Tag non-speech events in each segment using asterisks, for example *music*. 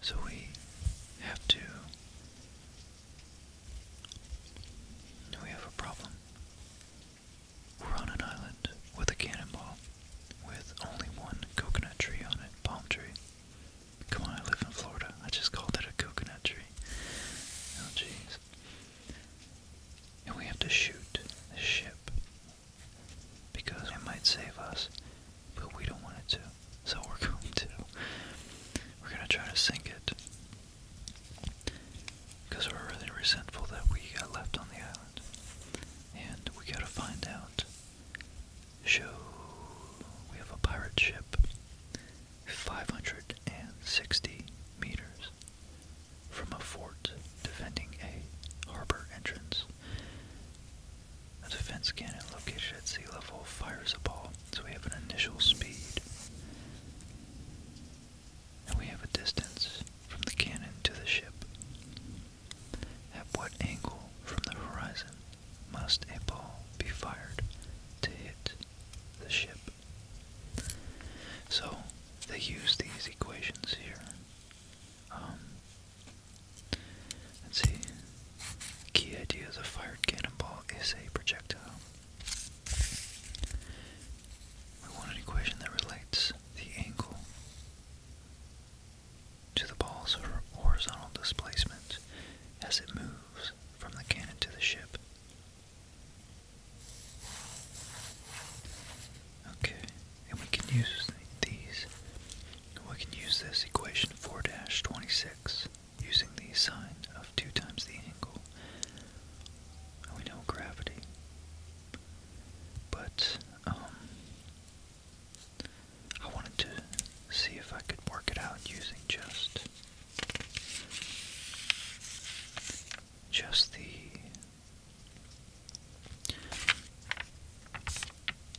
So we have to. We have a problem. We're on an island with a cannonball, with only one coconut tree on it, palm tree. Come on, I live in Florida. I just called it a coconut tree. Oh, jeez. And we have to shoot the ship because it might save us but we don't want it to. So we're *laughs* going to we're gonna try to sink it because we're really resentful that we got left on the island, and we gotta find out. Show we have a pirate ship, 560 meters from a fort defending a harbor entrance. A defense cannon located at sea level fires a ball, so we have an initial speed. And we have a distance from the cannon to the ship. At what angle from the horizon must a ball be fired to hit the ship? So they use these equations here um, Let's see. Key idea of the fired cannonball is a projectile. We want an equation that relates the angle to the ball's horizontal displacement as it moves from the cannon to the ship. Okay, and we can use these we can use this equation 4-26 using the sine of 2 times the angle. We know gravity. But, um, I wanted to see if I could work it out using just, just the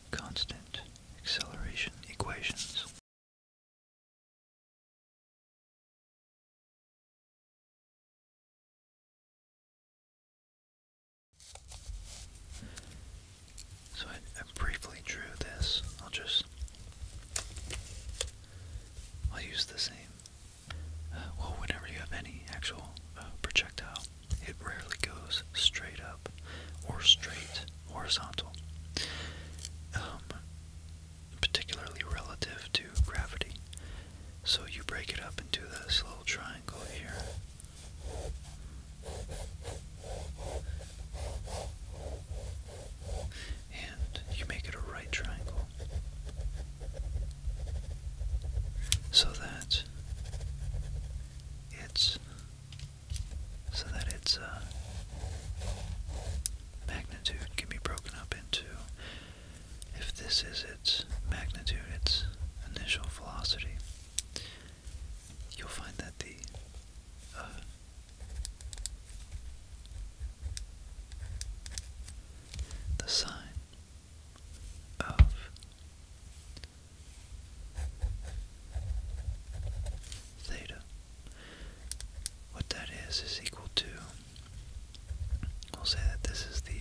constant acceleration equations. So I, briefly drew this. I'll just I'll use the same. Uh, well, whenever you have any actual uh, projectile it rarely goes straight up or straight horizontal, um, particularly relative to gravity. So you break it up into this little triangle here. And you make it a right triangle so that it's so that its uh, magnitude can be broken up into, if this is its magnitude, its initial velocity, you'll find that the uh, the sign of theta. What that is is equal to, we'll say that this is the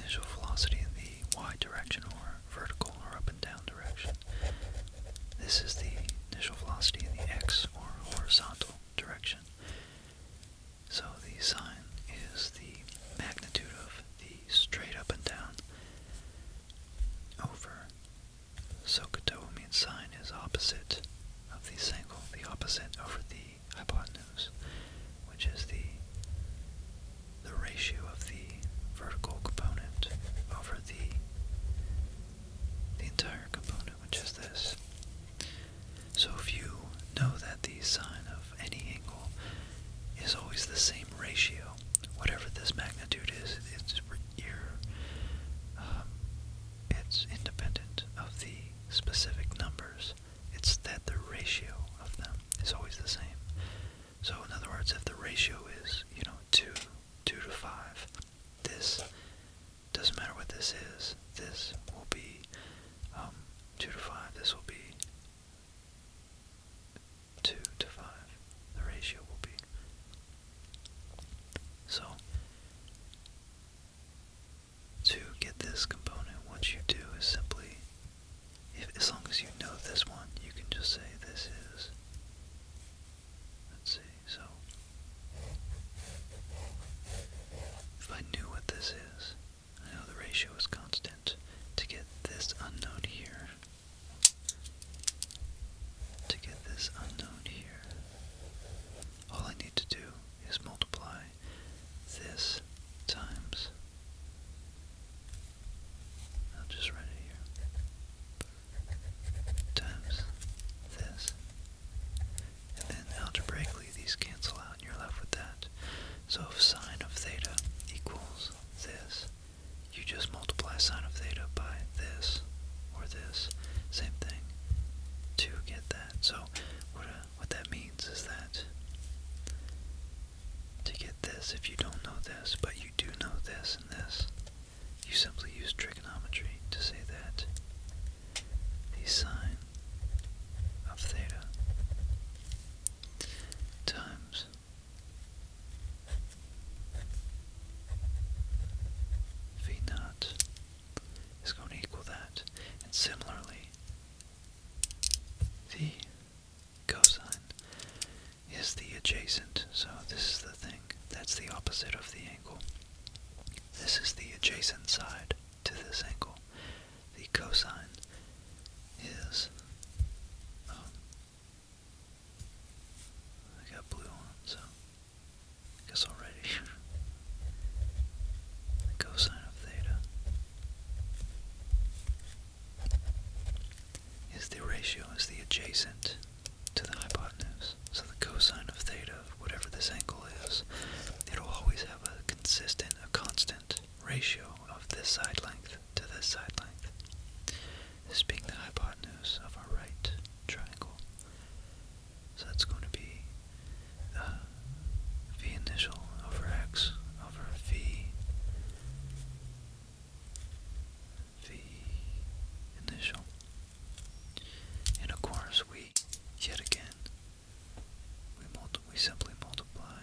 initial velocity in the y direction or vertical or up and down direction. This is the initial velocity in the x or horizontal direction. So the sine is the magnitude of the straight up and down over. Sokoto means sine is opposite of the angle, the opposite over the hypotenuse, which is the the ratio of the vertical component over the the entire component, which is this. So if you know that the sign of any angle is always the same ratio. Whatever this magnitude is, it's you um, it's independent of the specific numbers. It's that the ratio of them is always the same. So in other words, if the ratio is you know two, two to five, this doesn't matter what this is. This will be um, two to five. This will be 2 to 5, the ratio will be. So, to get this component, what you do is simply, if, as long as you know this one, you can just say this is, let's see, so, if I knew what this is, I know the ratio is constant, to get this unknown here, to get this unknown here, all I need to do is multiply this times. I'll just write it here. Times this. And then algebraically these cancel out and you're left with that. So if sine of theta equals this, you just multiply sine of theta by this or this, same thing, to get that. So uh, what, that means is that to get this, if you don't know this, but you do know this and this, you simply use trigonometry to say that the sine of theta times v naught is going to equal that. And similarly, the cosine is the adjacent. So this is the thing. That's the opposite of the angle. This is the adjacent side to this angle. The cosine is, um, I got blue on, so guess already. cosine of theta is the ratio, is the adjacent to the hypotenuse. So the cosine of theta, whatever this angle is, it'll always have a consistent, a constant ratio of this side length to this side length, this being the hypotenuse of our right triangle. So that's going to be the uh, v initial over x over v, v initial. And of course, we, yet again, we, multi we simply multiply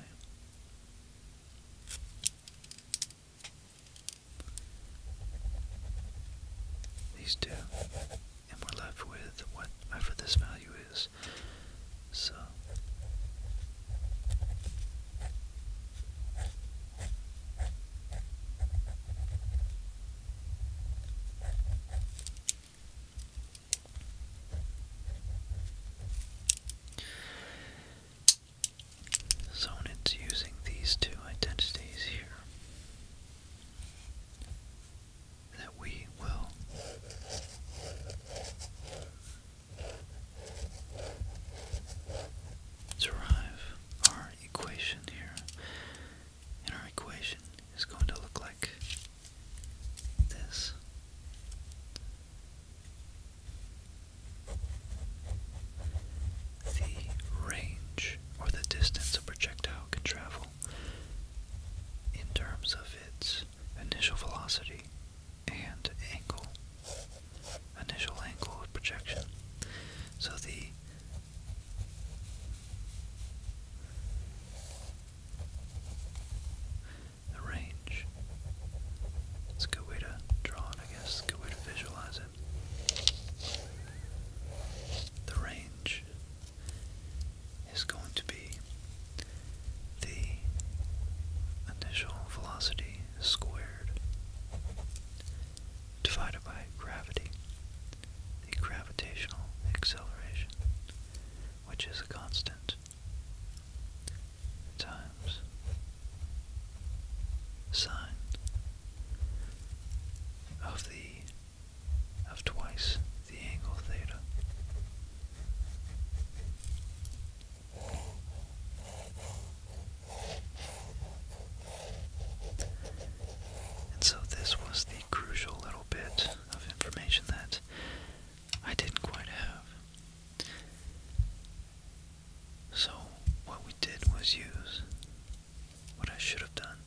these two, and we're left with whatever this value is. So so when it's using these two identities here, that we will derive our equation here. And our equation is going to look like this the range or the distance a projectile can travel in terms of its initial velocity and angle, initial angle of projection. So the range it's a good way to draw it, I guess. Good way to visualize it. The range is going to be the initial velocity squared divided by gravity, the gravitational acceleration, which is a constant times sine of the of twice the angle theta. And so this was the crucial little bit of information that I didn't quite have. So, what we did was use what I should have done.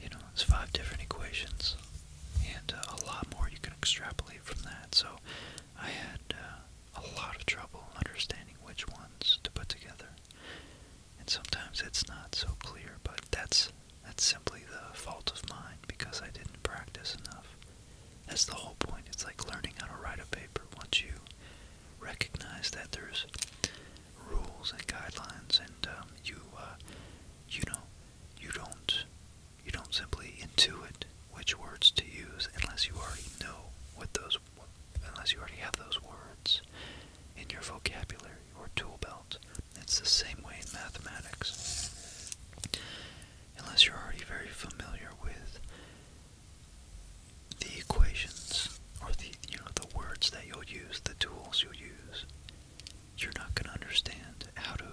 You know, it's five different equations, and uh, a lot more you can extrapolate from that. So, I had uh, a lot of trouble understanding which ones to put together, and sometimes it's not so clear. But that's that's simply the fault of mine because I didn't practice enough. That's the whole point. It's like learning how to write a paper. Once you recognize that there's rules and guidelines, and um, you, uh, you know, you don't, you don't simply intuit which words to use unless you already know what those, unless you already have those words in your vocabulary or tool belt. It's the same way in mathematics. Unless you're already very familiar with the equations or the you know the words that you'll use, the tools you'll use, you're not going to understand how to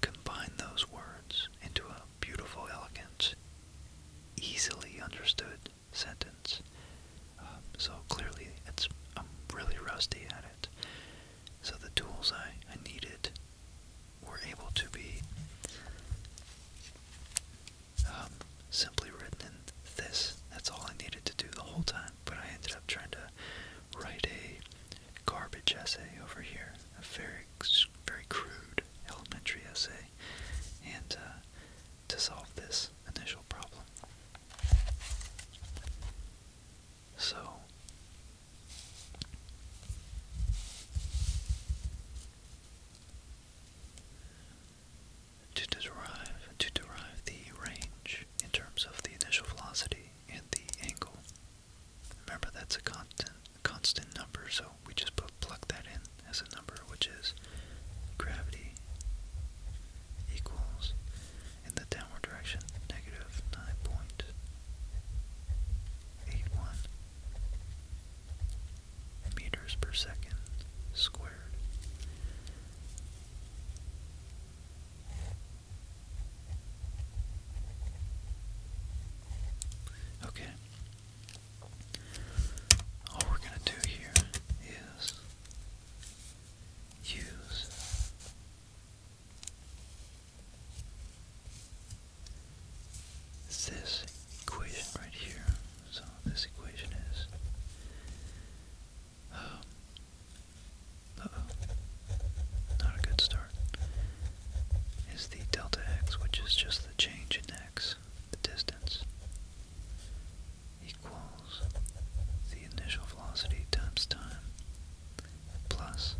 combine those words into a beautiful, elegant, easily understood sentence. Um, so clearly, it's I'm really rusty at it. So the tools I, I needed were able to be um, simply written in this. That's all I needed to do the whole time, but I ended up trying to write a garbage essay over here, a very, very crude elementary essay, and uh, to solve this initial problem. So, to derive, to derive the range in terms of the initial velocity and the angle, remember that's a constant, constant number, so we just put, plug that in as a number, which is gravity equals, in the downward direction, negative 9.81 meters per second squared. Okay. All we're going to do here is use this equation right here. So this equation is uh oh, not a good start. Is the delta x, which is just the change in x, the distance, equals the initial velocity times time plus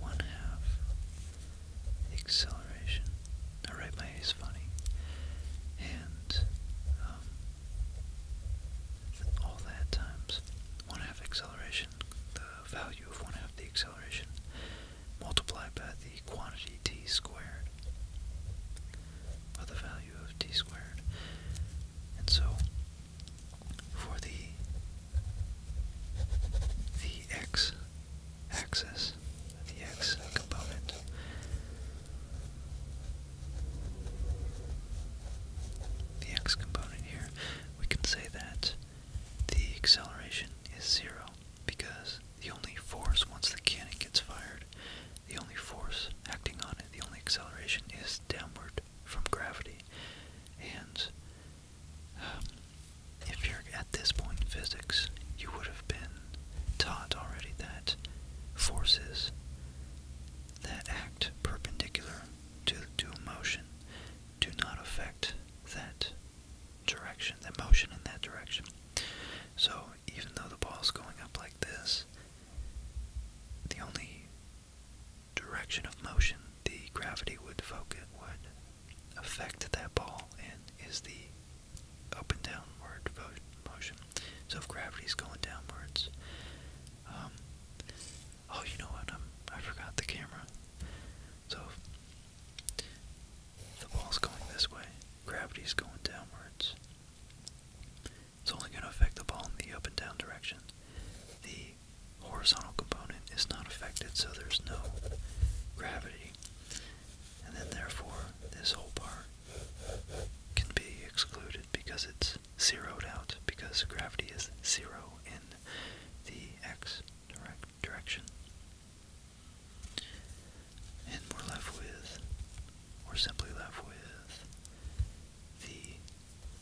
one half acceleration. I write my A's funny. And um, all that times one half acceleration, the value of one half the acceleration, multiplied by the quantity t squared, or the value of t squared. And so for the the x axis, the x component. The x component here, we can say that the acceleration is zero because the only force, once the cannon gets fired, the only force acting on it, the only acceleration is downward from gravity. And if you're at this point in physics, you would have been taught already that forces that act perpendicular to, to motion do not affect that direction, that motion in that direction. So even though the ball's going up like this, the only direction of motion the gravity would focus would affect that ball in is the up and downward motion. So if gravity's going downwards, um, oh, you know what? I'm, I forgot the camera. So if the ball's going this way, gravity's going downwards. It's only going to affect the ball in the up and down direction. The horizontal component is not affected, so there's no gravity and then therefore this whole part can be excluded because it's zeroed out because gravity is zero in the x direction. And we're left with, we're simply left with the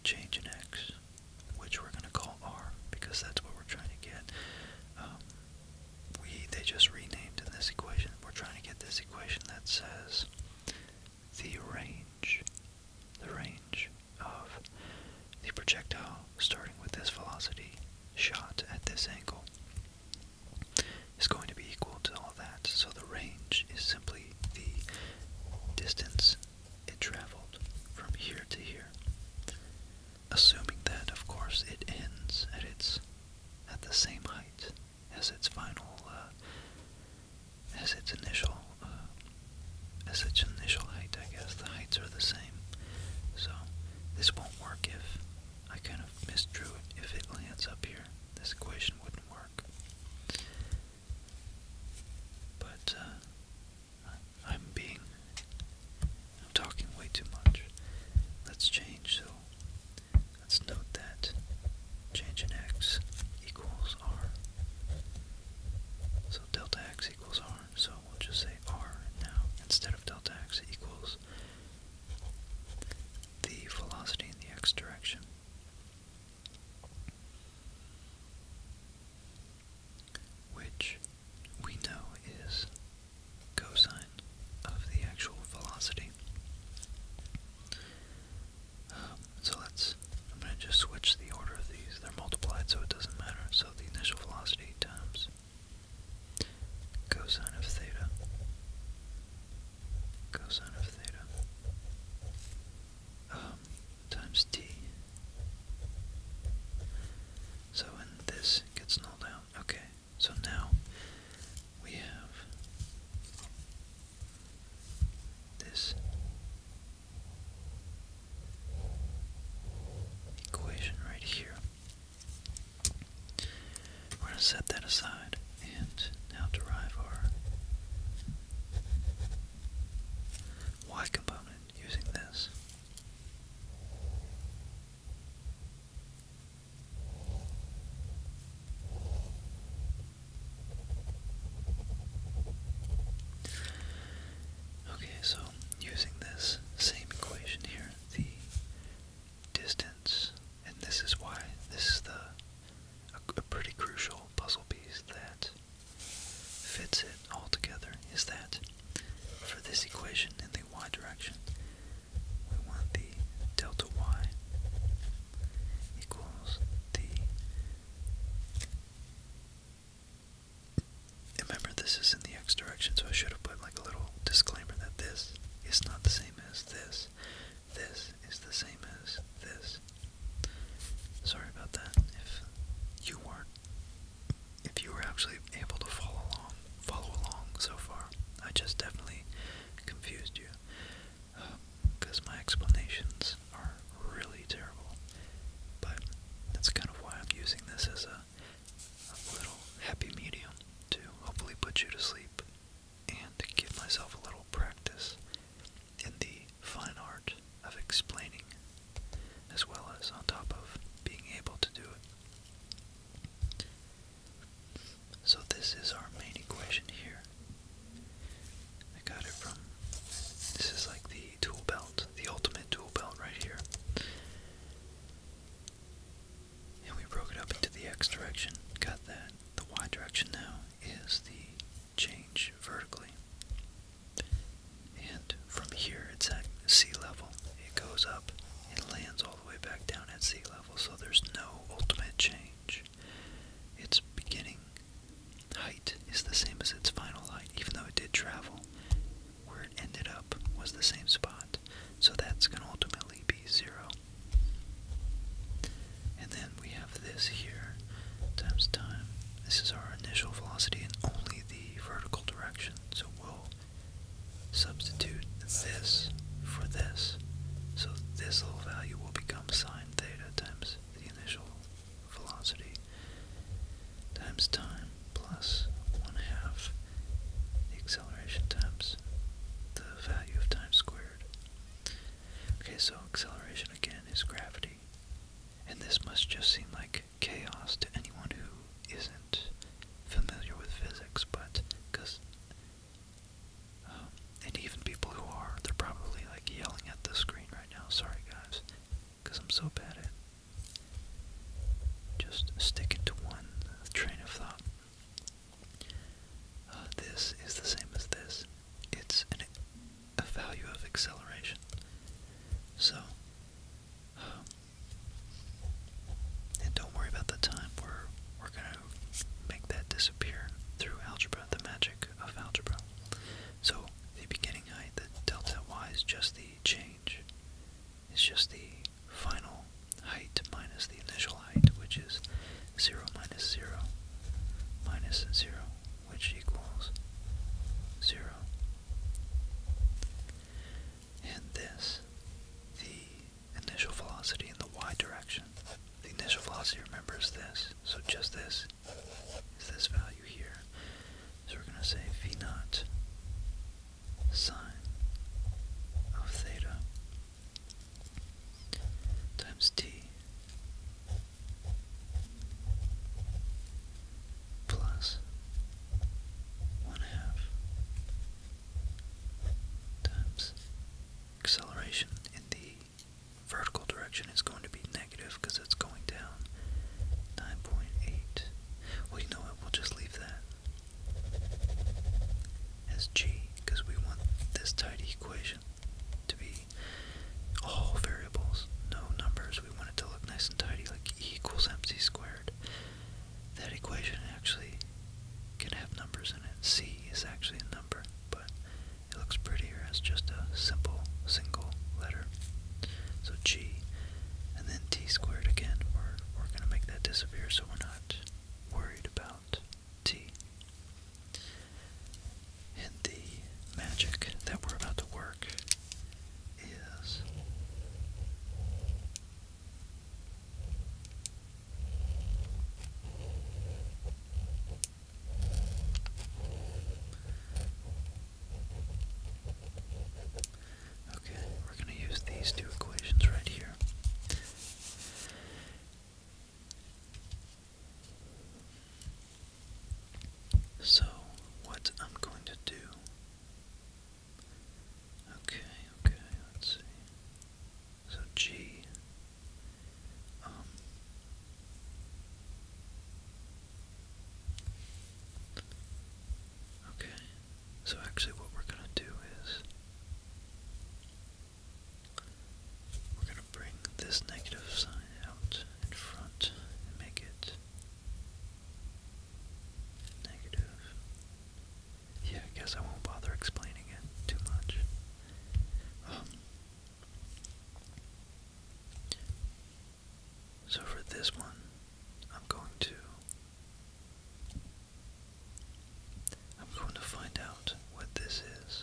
change in x, which we're going to call r because that's what we're trying to get. Um, we they just renamed in this equation. We're trying to get this equation that says the range, the range of the projectile starting with this velocity shot at this angle is going to be equal to all that. So the range is simply the distance it traveled from here to here assuming that, of course, it ends at its at the same height as its final, uh, as its initial, uh, as its initial height. I guess the heights are the same, so this won't work if I kind of misdrew it. If it lands up here, this equation wouldn't work. But uh, I'm being I'm talking way too much. Let's change, so let's note that change in x equals r. So delta x equals r, so we'll just say r now instead of delta x equals the velocity in the x direction. Which we know is cosine of the actual velocity. Um, so let's, I'm going to just switch the order of these. They're multiplied so it doesn't matter. So the initial velocity times cosine of theta, cosine of theta, um, times t. So, when this gets nulled out. Okay, so now we have this equation right here. We're going to set that aside and now derive our y component using this. Okay, so using this same equation here, the distance, and this is why this is the a, pretty crucial puzzle piece that fits it all together is that for this equation in the y direction, we want the delta y equals the... Remember, this is in the x direction, so I should have put like a little disclaimer that this is not the same as this. This is the same as this. Sorry about that if you weren't if you were actually able to follow along, follow along so far, I just definitely confused you, because um, my explanations are really terrible. But that's kind of why I'm using this as a, little happy medium to hopefully put you to sleep and give myself a little practice in the fine art of explaining, as well as on top of being able to do it. So this is our main equation here. I got it from, this is like the tool belt, the ultimate tool belt right here. And we broke it up into the x direction, got that. The y direction now is the change vertically. And from here, it's at sea level. It goes up and lands way back down at sea level, so there's no ultimate change. Its beginning height is the same as its final height, even though it did travel. Where it ended up was the same spot, so that's going to ultimately be zero. And then we have this here times time. This is our initial velocity in only the vertical direction, so we'll Substitute this for this, so this little value will become sine theta times the initial velocity times time plus one half the acceleration times the value of time squared. Okay, so acceleration again is gravity. And this must just seem like chaos to anyone who isn't familiar with physics, but because, um, and even people who are, they're probably like yelling at the screen right now. Sorry, guys, because I'm so bad at just sticking to one train of thought. Uh, this is the same as this. It's an, a value of acceleration. So, um, and don't worry about the time. We're, we're going to make that disappear through algebra, the magic of algebra. So the beginning height, the delta y is just the change. It's just the final height minus the initial height, which is 0 minus 0 minus 0, which equals 0 and this, the initial velocity in the y direction. The initial velocity, remember, is this. So just this is this value here. So we're going to say v naught sine of theta times t plus one half times acceleration in the vertical direction is going to be negative because it's going down 9.8. Well, you know what? We'll just leave that as g because we want this tidy equation to be all variables, no numbers. We want it to look nice and tidy, like e equals mc squared that equation actually can have numbers in it. C is actually a number, but it looks prettier as just a simple single letter. So G, and then T squared again. We're, we're going to make that disappear so we're not worried about T. And the magic that we're about to work is Okay, we're going to use these two equations right here. So, what I'm going to do Okay, okay, let's see. So G um, Okay. So actually what we're gonna do is we're gonna bring this negative sign out in front and make it negative yeah, I guess I won't bother explaining it too much. Um, so for this one, I'm going to I'm going to find out what this is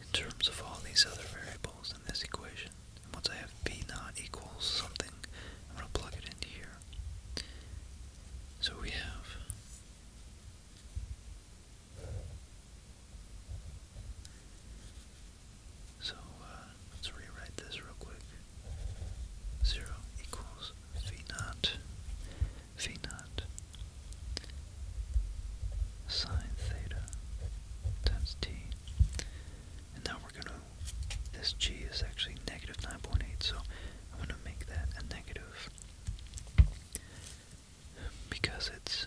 in terms of all these other variables in this equation. And once I have b naught equals something, I'm going to plug it into here. So we have so uh, let's rewrite this real quick. Zero equals v naught, v naught sine theta times t, and now we're going to this g is actually negative 9.8, so I'm going to make that a negative because it's.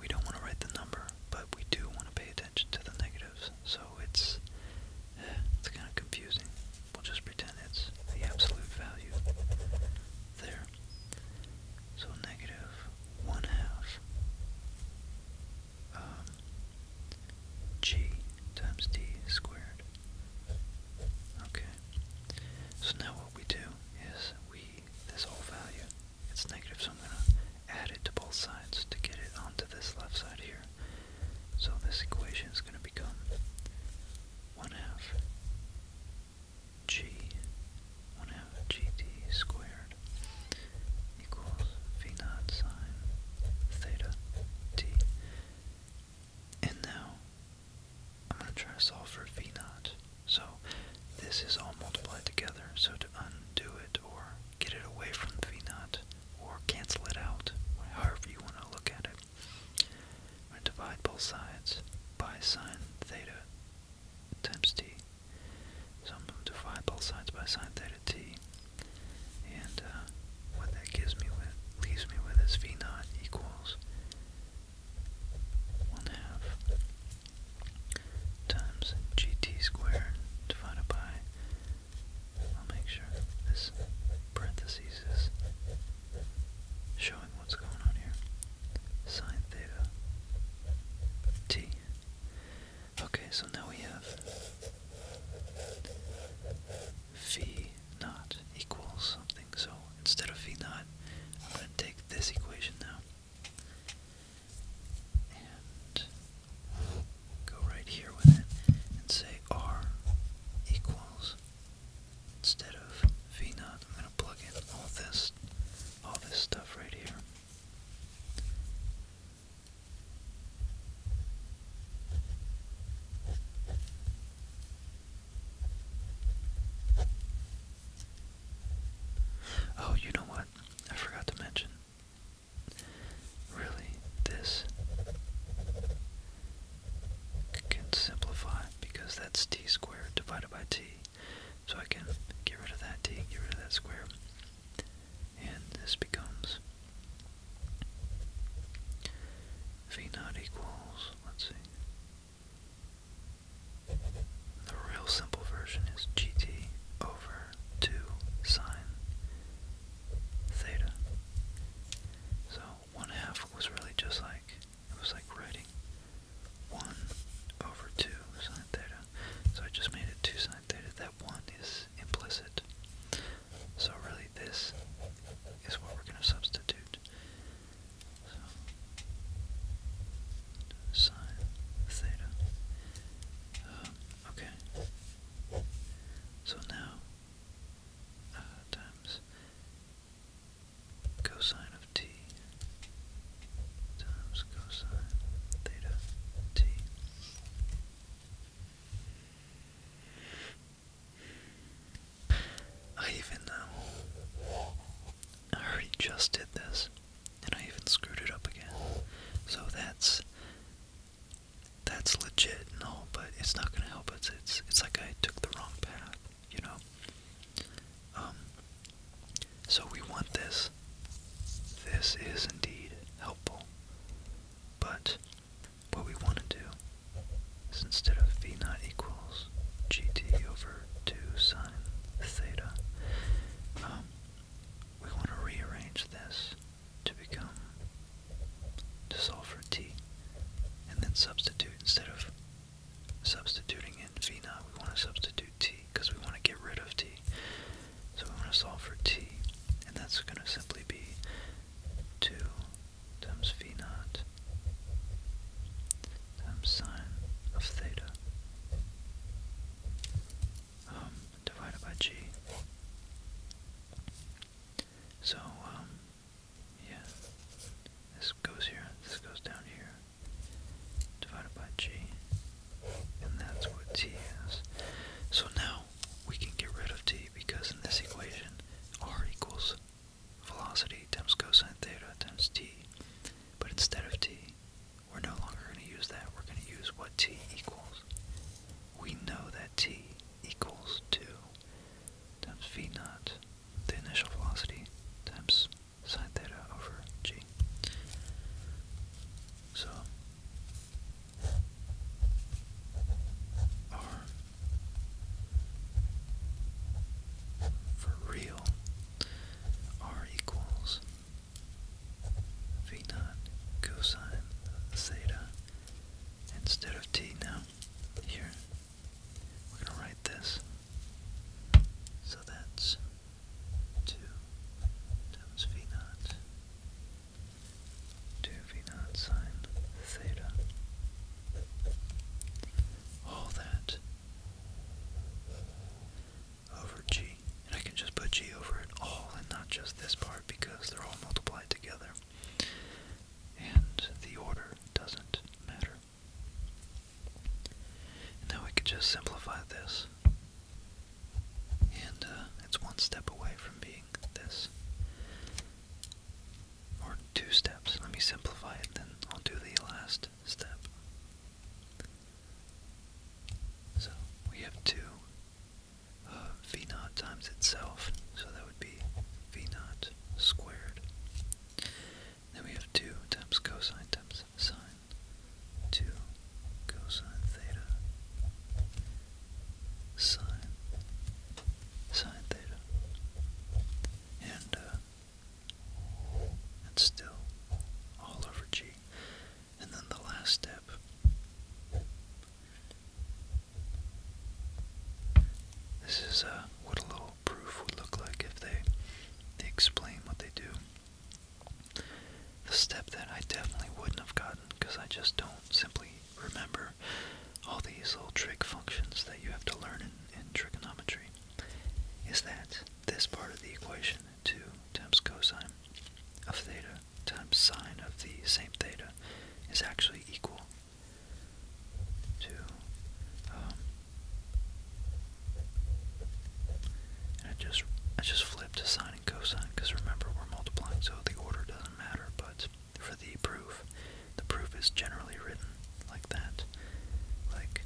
We don't want to write the number, but we do want to pay attention to the negatives, so it's *sighs* it's kind of confusing. We'll just pretend it's the absolute value there. So negative one half um, g times d squared. Okay. So now what we do is we, this whole value, it's negative, so I'm going to add it to both sides to get it onto this left side here. So this equation is going to become 1 half g, 1 half gt squared equals V naught sine theta t. And now I'm going to try to solve for V naught. So this is all multiplied together. So to undo it or get it away from V naught or cancel it out, however you want to look at it, I'm going to divide both sides by sine theta times t. So I'm going to divide both sides by sine theta t. And uh, what that gives me with leaves me with is v naught equals one half times gt squared divided by. I'll make sure this parentheses is showing what's going on here. Sine theta t Okay, so now we have v not equals something. So instead of v not, I'm going to take this equation now and go right here with it and say r equals instead of v not. I'm going to plug in all this all this stuff right here Oh, you know what? I forgot to mention. Really, this can simplify because that's t squared divided by t. So I can get rid of that t, get rid of that square, and this becomes v naught equals, let's see, the real simple version is gt over 2 sine theta. So 1 half was really just like, it was like writing 1 over 2 sine theta. So I just made it 2 sine theta. That 1 is implicit. So really this is what we're going to substitute. So theta. Um, okay. So now uh, times cosine of t times cosine theta t I even, know um, I already just did this, and I even screwed it up again. So that's, that's legit and all, but it's not gonna help us. It's, it's, it's like I took the wrong path, you know? Um, so we want this. This is indeed helpful, but what we want to do is instead of v naught equals gt over 2 sine theta, um, we want to rearrange this to become, to solve for t, and then substitute instead of substituting in v naught, we want to substitute t because we want to get rid of t. So we want to solve for t, and that's going to simply be 2 times v naught times sine of theta um, divided by g. So, um, yeah, this goes here, this goes down here, divided by g, and that's what t is. So now we can get rid of t because in this equation r equals velocity times cosine theta times t. But instead of t, we're no longer going to use that. We're going to use what t equals. We know that t equals 2 times v naught, the initial velocity, times sine theta over g. So for real r equals v naught cosine theta instead of t now here we're going to write this so that's 2 times v naught 2 sine theta. All that over g. And I can just put g over it all and not just this part because they're all multiplied together. And the order doesn't matter. now we could just simplify this. And uh, it's one step away from being this. Or two steps. Let me simplify it, then I'll do the last step. So we have 2 uh, v naught times itself, so that would be v naught squared. Then we have 2 times cosine times sine, 2 cosine theta sine, sine theta, uh, and still all over G. And then the last step this is uh, what a little proof would look like if they they explain what they do. The step that I definitely wouldn't have gotten because I just don't simply remember all these little trig functions that you have to learn in, trigonometry, is that this part of the equation, 2 times cosine of theta times sine of the same theta, is actually equal to, um, and I just, I just flipped sine and cosine because remember we're multiplying so the order doesn't matter, but for the proof. The proof is generally written like that, like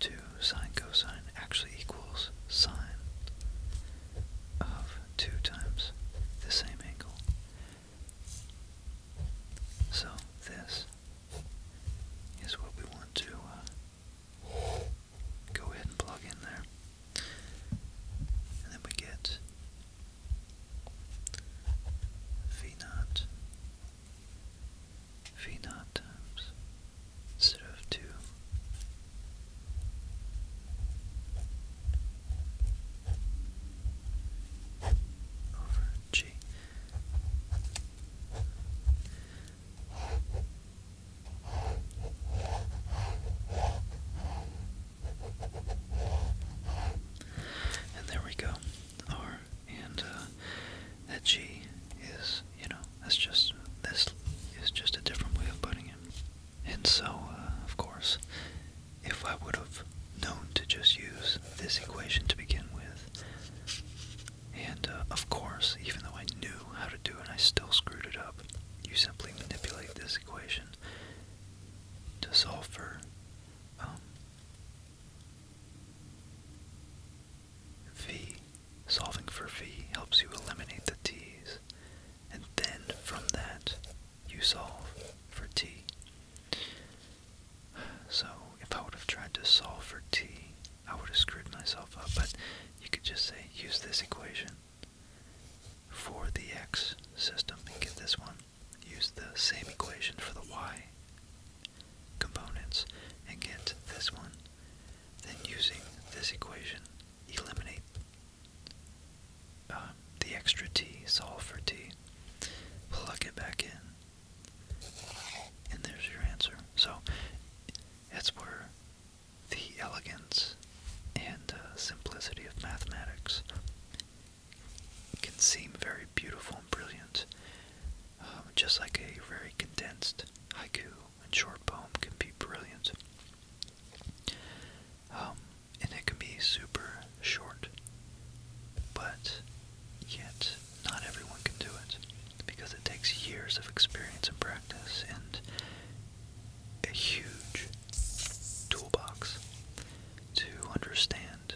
2 sine cosine actually equals sine of 2 times the same angle. So this is what we want to uh, go ahead and plug in there then we get v naught, v naught times, instead of 2, over g. And there we go. R and uh, that G is, you know, that's just this is just a different way of putting it. And so, uh, of course, if I would have known to just use this equation to begin with, and uh, of course, even though I knew how to do it, I still screwed it up. You simply manipulate this equation to solve for v, um, solving for V helps you eliminate the T's, and then from that you solve for T. So if I would have tried to solve for T, I would have screwed myself up, but you could just say use this equation for the x system and get this one. Use the same equation for the y components and get this one. Then using this equation, eliminate um, the extra t, solve for t, plug it back in, and there's your answer. So that's where the elegance and uh, simplicity of mathematics can seem very beautiful and brilliant, um, just like a very condensed haiku and short poem can be brilliant. Um, and it can be super short, but yet not everyone can do it because it takes years of experience and practice and a huge toolbox to understand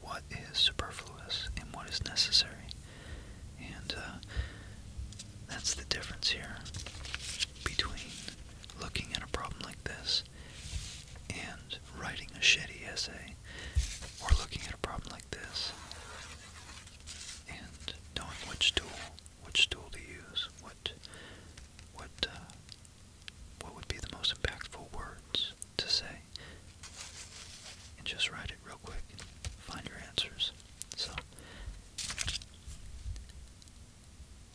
what is superfluous and what is necessary. And uh, that's the difference here between looking at a problem like this and writing a shitty essay or looking at a problem like this and knowing which tool which tool to use, what what uh, what would be the most impactful words to say, and just write it real quick. Find your answers. So,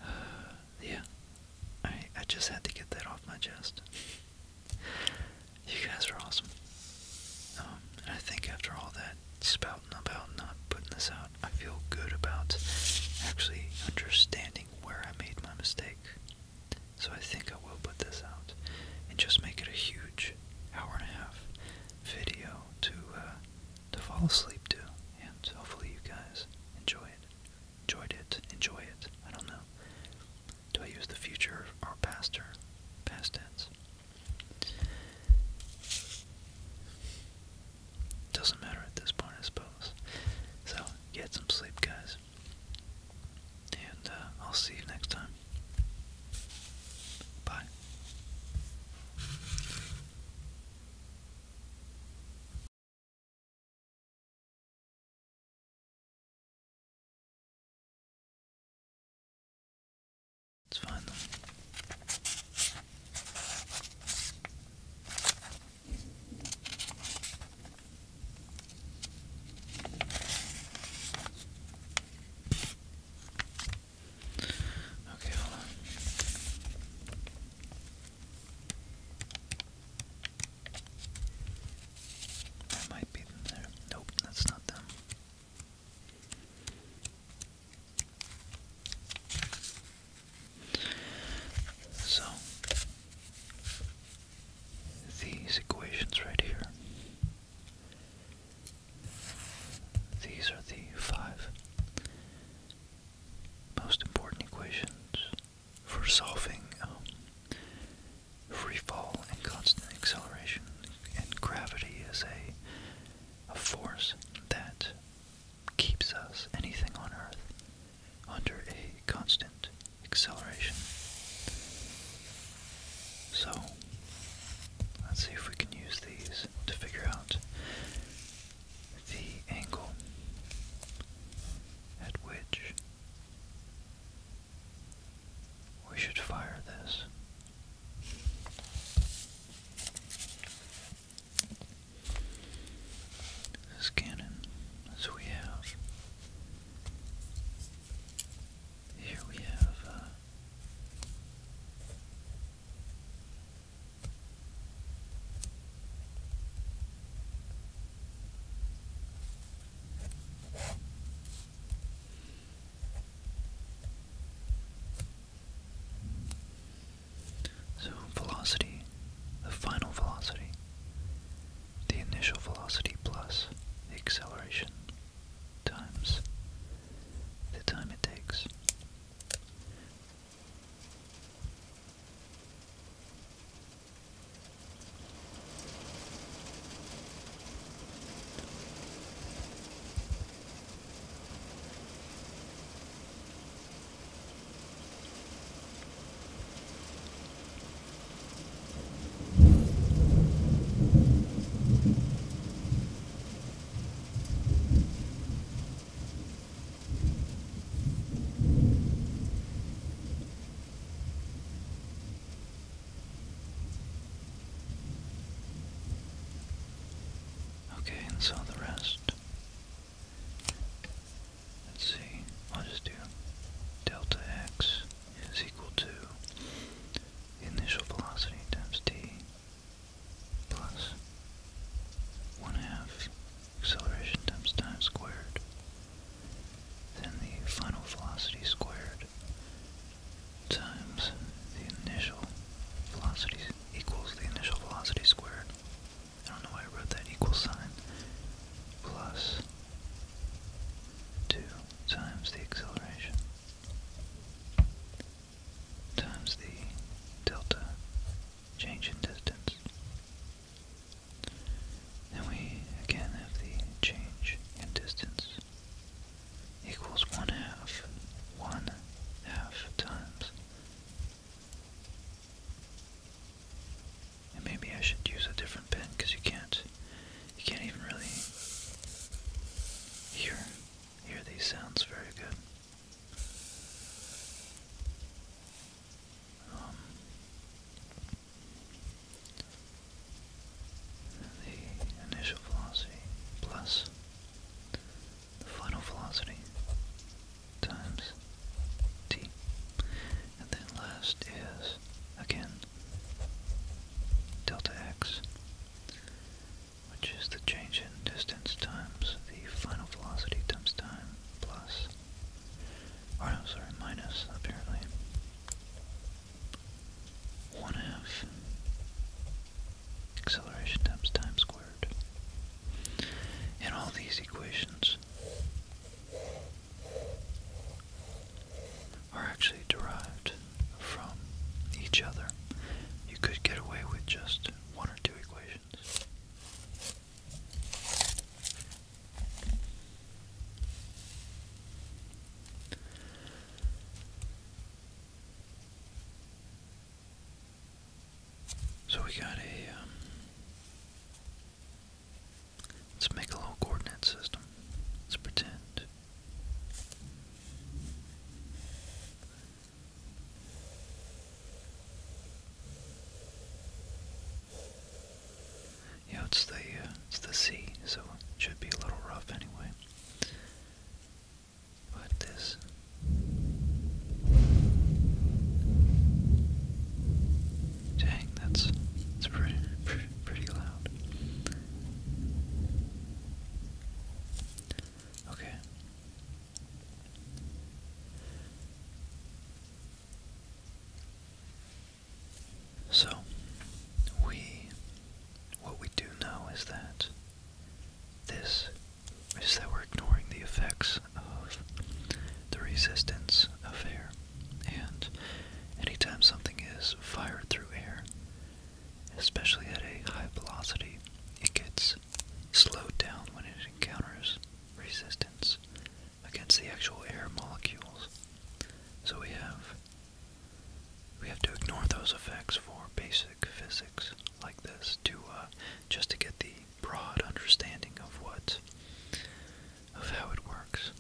uh, *sighs* yeah, I I just had to get that off my chest. You guys are awesome. Um, and I think after all that spouting about not putting this out. I feel good about actually understanding where I made my mistake. So I think I will put this out and just make it a huge hour and a half video to uh, to fall asleep to, and hopefully you guys enjoy it, enjoyed it, enjoy it. I don't know. Do I use the future or past or past tense? Doesn't matter at this point, I suppose. So, get some sleep, guys. And uh, I'll see you next time. Bye. It's fine Okay, hold on. That might be them there. Nope, that's not them. So, these equations right here, these are the five most important equations for solving um, free fall and constant acceleration and gravity is a, a force that keeps us, anything on Earth, under a constant acceleration. So, let's see if we can use these to figure out the angle at which we should fire this this cannon. So we have here we have uh, so velocity, the final velocity, the initial velocity plus the acceleration times the time it takes. Okay, and so the rest. Let's see, I'll just do delta x is equal to initial velocity times t plus 1 half acceleration times time squared, then the final velocity squared times the initial velocity equals the initial velocity squared. I don't know why I wrote that equal sign, plus 2 times the acceleration times the delta change in distance. Then we again have the change in distance equals one half, one half times and maybe I should use a different pen because you can't you can't even really hear hear these sounds very good. Um, the initial velocity plus the final velocity times t. And then last is, again, delta x, which is the change in distance times the final velocity times time plus, or no, sorry, minus, apparently, 1 half acceleration times time squared. And all these equations are actually derived from each other. You could get away with just one or two equations. So we got a, um, let's make a little coordinate system. Let's pretend. Yeah, it's the, uh, it's the sea, so it should be a little rough anyway. But this Dang, that's it's pretty pretty loud. Okay. So we what we do know is that this is that we're ignoring the effects of the resistance of air. And anytime something is fired through air, especially at a high velocity, it gets slowed down when it encounters resistance against the actual air molecules. So we have we have to ignore those effects for basic physics like this to uh, just to get the broad understanding of what, of how it works.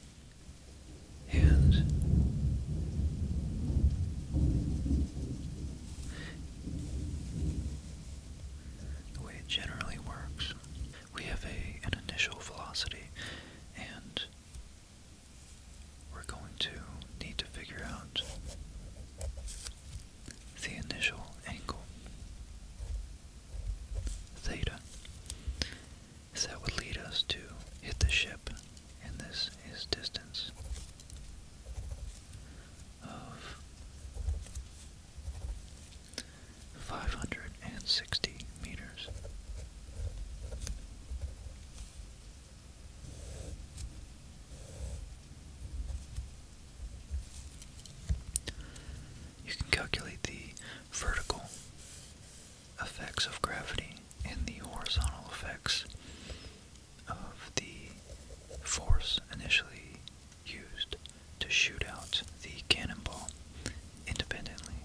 And the way it generally works, we have a, an initial velocity, and we're going to need to figure out the initial angle theta that would lead us to hit the ship, and this is distance of 560 meters. You can calculate the vertical effects of gravity and the horizontal effects of the force initially used to shoot out the cannonball independently.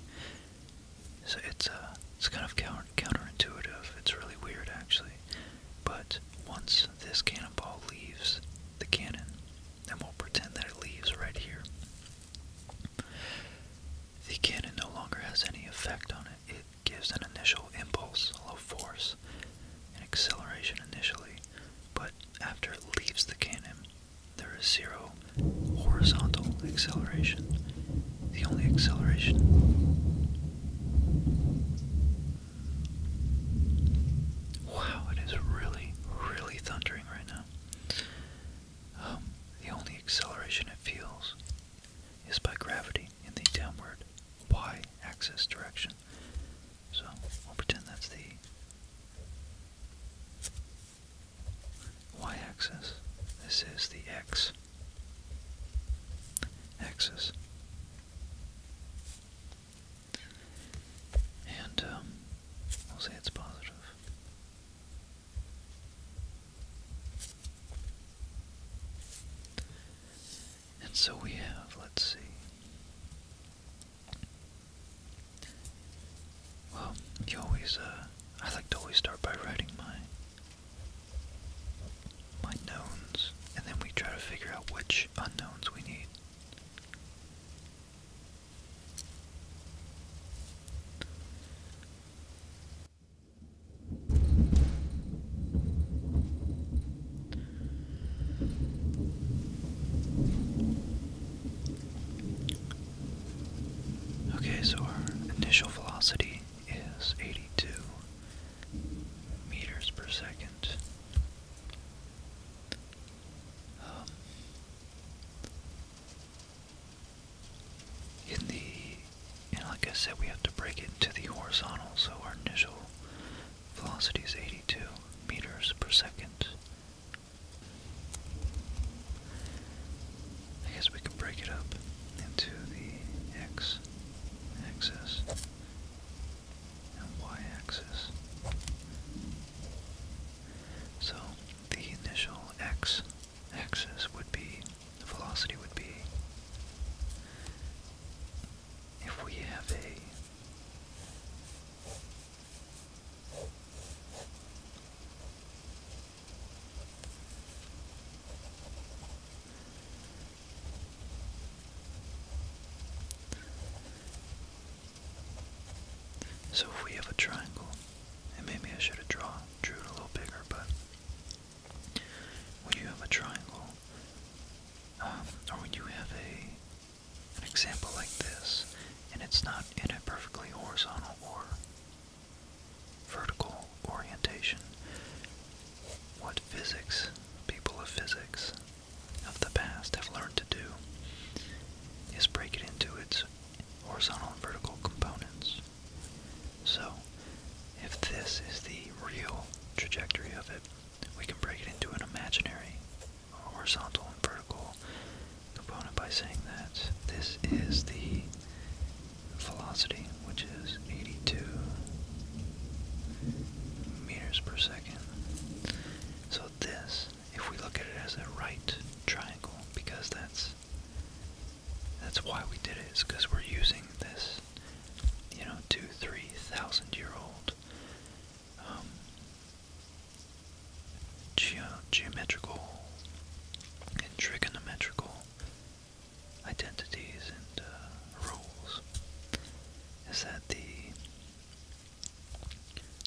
So it's uh, it's kind of counterintuitive. It's really weird actually. But once this cannonball leaves the cannon, and we'll pretend that it leaves right here. The cannon no longer has any effect on it. It gives an initial impulse, a low force, an acceleration initially, but after it leaves the cannon, there is zero horizontal acceleration. The only acceleration Wow, it is really, really thundering right now. Um, the only acceleration it feels is by gravity in the downward y axis direction. So I'll pretend that's the y axis. This is the x axis. And um, we'll say it's positive. And so we have, let's see. Well, you always, uh, I like to always start by writing my my knowns, and then we try to figure out which unknowns we need. Okay, so our initial velocity is 82 meters per second. Um, in the, like I said, we have to break it into the horizontal, so our initial velocity is 82 meters per second. I guess we could break it up into the x axis y-axis. So the initial x axis would be, the velocity would be, if we have a so if we have a triangle, and maybe I should have drawn, drew it a little bigger, but when you have a triangle, um, or when you have a an example like this, and it's not in a perfectly horizontal or vertical orientation, what physics, people of physics, of the past have learned to do is break it into its horizontal and vertical components. So, if this is the real trajectory of it, we can break it into an imaginary horizontal and vertical component by saying that this is the velocity, which is 82 meters per second. So this if we look at it as a right triangle because that's that's why we did it is because we're using this you know two three thousand year old um, geometrical and trigonometrical identities and uh, rules is that the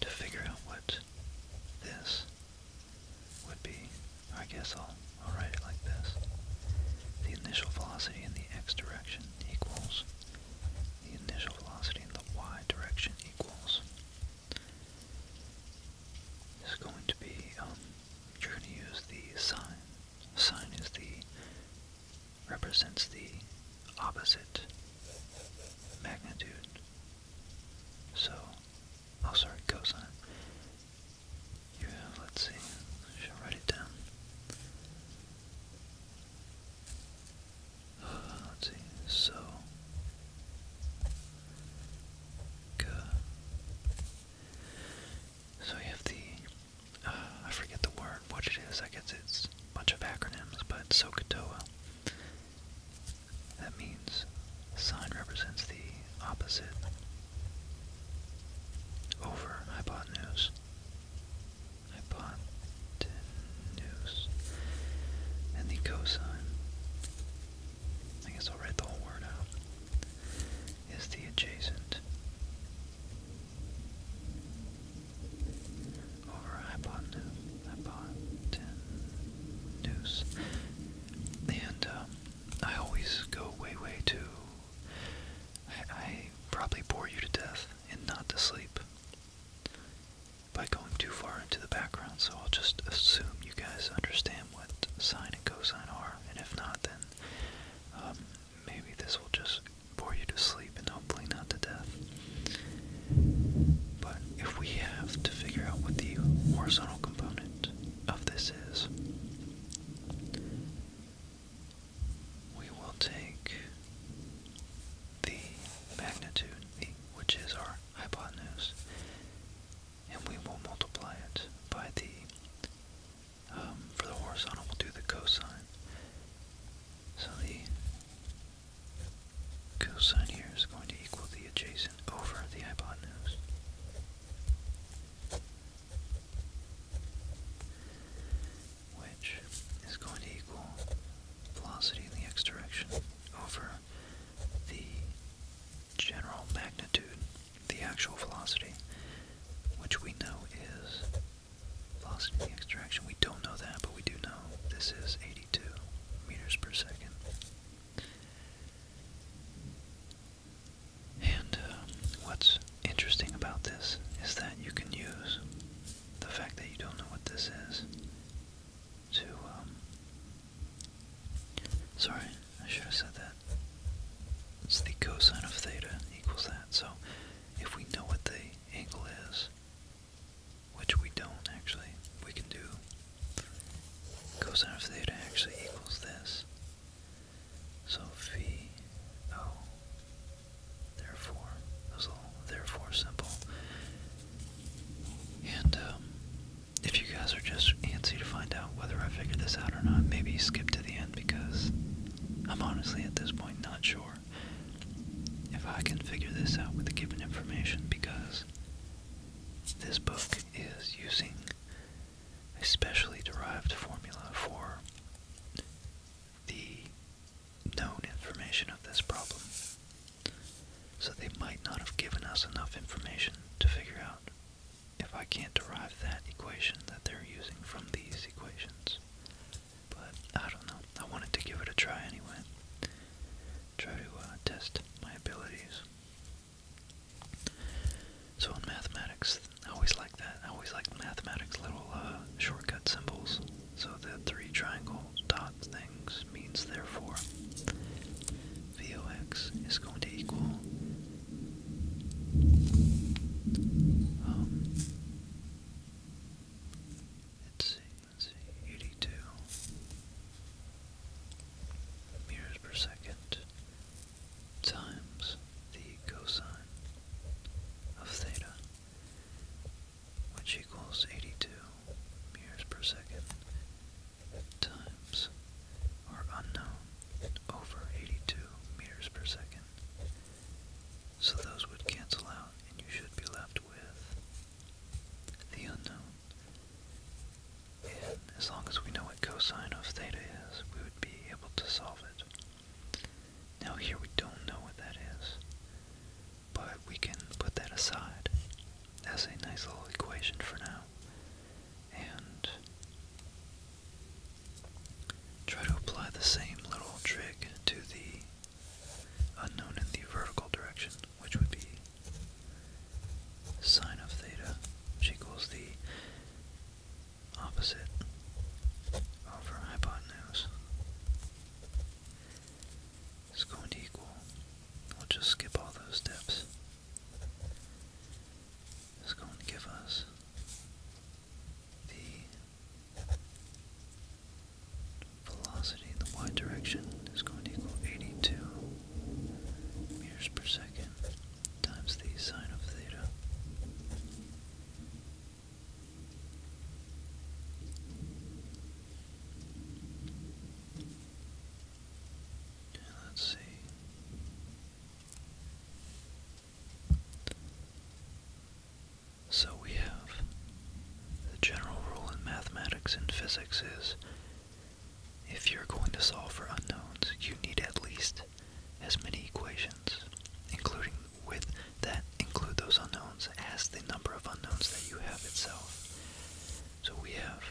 to figure out what this would be. I guess I'll, I'll write it like this. The initial velocity in the x direction equals the initial velocity in the y direction equals. is going to be, um, you're going to use the sine. Sine is the represents the opposite magnitude. So, oh sorry, cosine. You let's see, I should write it down. Uh, let's see, so, so you have the, uh, I forget the word, what it is. I guess it's a bunch of acronyms, but SOHCAHTOA. That means sine represents the opposite over hypotenuse. Hypotenuse. And the cosine, I guess I'll write the whole word out, is the adjacent over hypotenuse. And uh, I always go way, way too. I, probably bore you to death and not to sleep by going too far into the background, so I'll just assume you guys understand what sine and cosine are, and if not, then um, maybe this will just for you to sleep and hopefully not to death. But if we have to figure out what the horizontal component of this is, we will take the magnitude, which is our hypotenuse, and we will multiply it by the, um, for the horizontal, we'll do the cosine. So the cosine here is going to equal the adjacent over the hypotenuse. Which is going to equal velocity in the x direction over the general magnitude, the actual velocity, which we know is Velocity extraction, we don't know that, but we do know this is 82 meters per second. And uh, what's interesting about this is that you can use the fact that you don't know what this is to, um, sorry, I should have said that. It's the cosine of theta equals that. So if we know what the angle is, which we don't actually, we can do cosine of theta actually equals this. So phi O, therefore, therefore simple. And um, if you guys are just antsy to find out whether I figured this out or not, maybe skip to the end because I'm honestly at this point not sure if I can figure this out with the given information because this book is using a specially derived formula for the known information of this problem. So they might not have given us enough information to figure out if I can't derive that equation that they're using from these equations. But I don't know. I wanted to give it a try anyway. Try to uh, test my abilities. So in mathematics, I always like that. I always like mathematics little uh, shortcut symbols. So the three triangle dot things means therefore VOX is going to equal um, let's see Let's 82 meters per second times the cosine of theta, which equals 82 meters per second times or unknown over 82 meters per second. So those would cancel out, and you should be left with the unknown. And as long as we know what cosine of theta is, we would be able to solve it. Now here we don't know what that is, but we can put that aside as a nice little equation for now and try to apply the same little trick to the unknown in the vertical direction, which would be sine of theta, which equals the opposite over hypotenuse. It's going to equal, we'll just skip all those steps. It's going to give us the Velocity in the y direction is going to equal 82 meters per second times the sine of theta. let's see. So we have the general rule in mathematics and physics is if you're going to solve for unknowns, you need at least as many equations, including with that include those unknowns as the number of unknowns that you have itself. So we have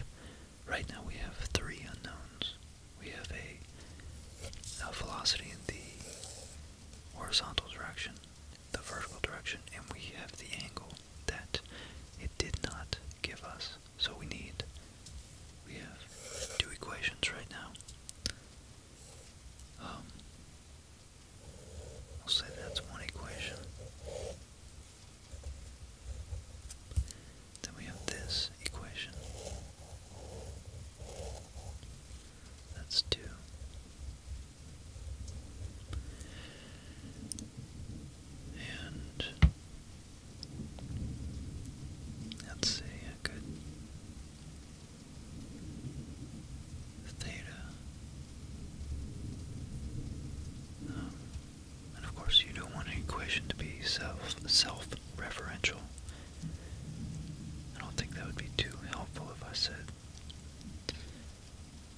right now we have three unknowns. We have a, a velocity in the horizontal direction, the vertical direction, and we have the angle that it did not give us. So we need, we have two equations right now. Um, I'll say that's one equation. Then we have this equation. That's two let's see, I could theta. Um, and of course, you don't want an equation to be self self referential. I don't think that would be too helpful if I said.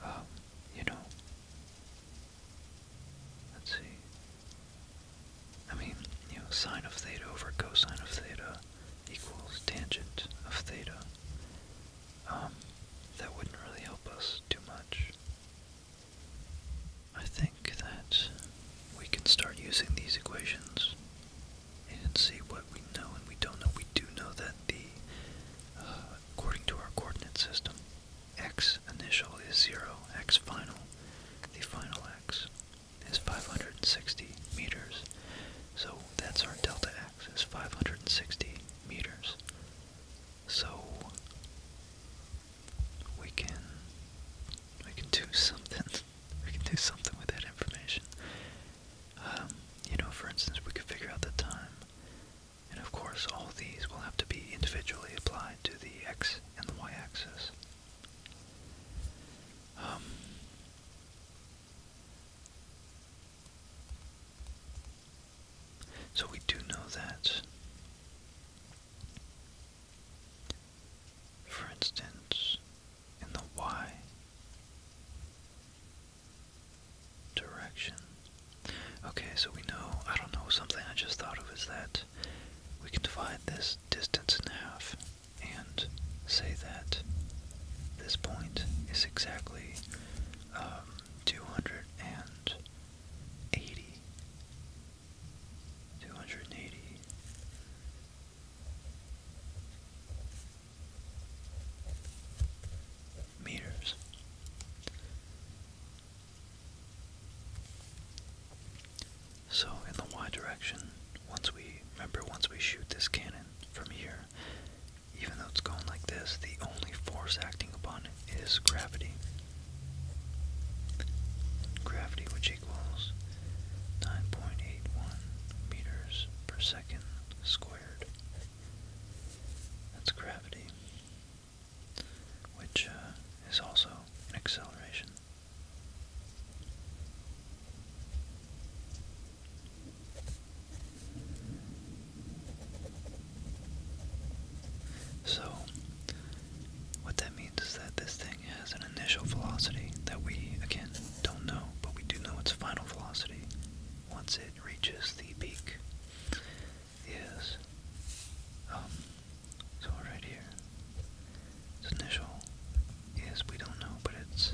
Um, you know. Let's see. I mean, you know, sine of theta over cosine of theta equals tangent of theta. Um, that wouldn't really help us too much. I think that we can start using these equations and see what we know and we don't know. We do know that the uh, According to our coordinate system, x initial is 0, x final, the final x is 560 meters. So that's our delta x is 560 meters. So we can we can do something. *laughs* We can do something with that information. Um, you know, for instance, we could figure out the time and of course, all these will have to be individually applied to the x and the y-axis. Um, so we do know that, for instance, in the y direction. Okay, so we know, I don't know, something I just thought of is that we can divide this distance in half and say that this point is exactly um, 280. 280 meters. So in the y direction, once we remember once we shoot this cannon from here, even though it's going like this, the only force acting upon it is gravity. Gravity which equals 9.81 meters per second squared. That's gravity, which uh, is also an acceleration. So, what that means is that this thing has an initial velocity that we, again, don't know, but we do know its final velocity once it reaches the peak is, um, so right here, this initial is, we don't know, but it's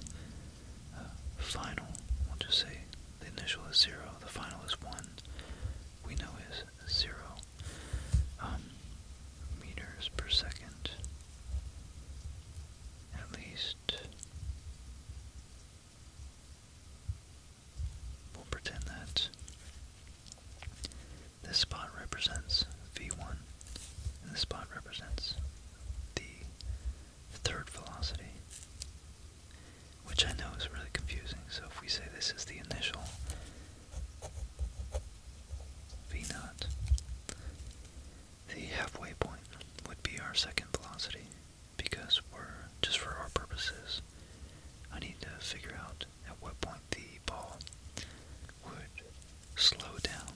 uh, final, we'll just say the initial is 0, the final is 1, we know is 0 um, meters per second, at least We'll pretend that this spot represents v1, and this spot represents the third velocity, which I know is really confusing. So if we say this is the initial v0, the halfway point would be our second velocity because we're, just for our purposes, I need to figure out at what point the ball would slow down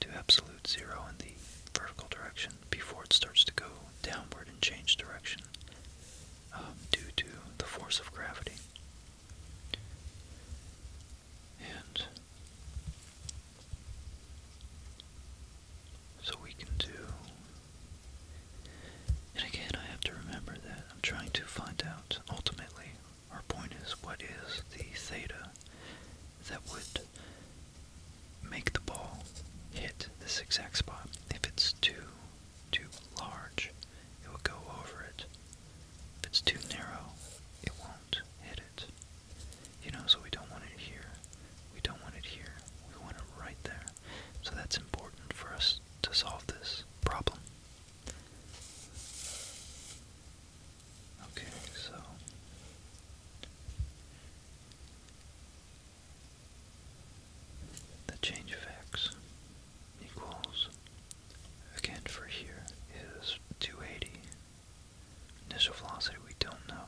to absolute zero in the vertical direction before it starts to go downward and change direction um, due to the force of gravity. And so we can do and again, I have to remember that I'm trying to find out, ultimately, our point is what is the theta that would make the ball hit this exact spot. If it's too, too large, it will go over it. If it's too narrow, it won't hit it. You know, so we don't want it here. We don't want it here. We want it right there. So that's important for us to solve this problem. Okay, so the change of x equals, again for here, is 280. Initial velocity we don't know.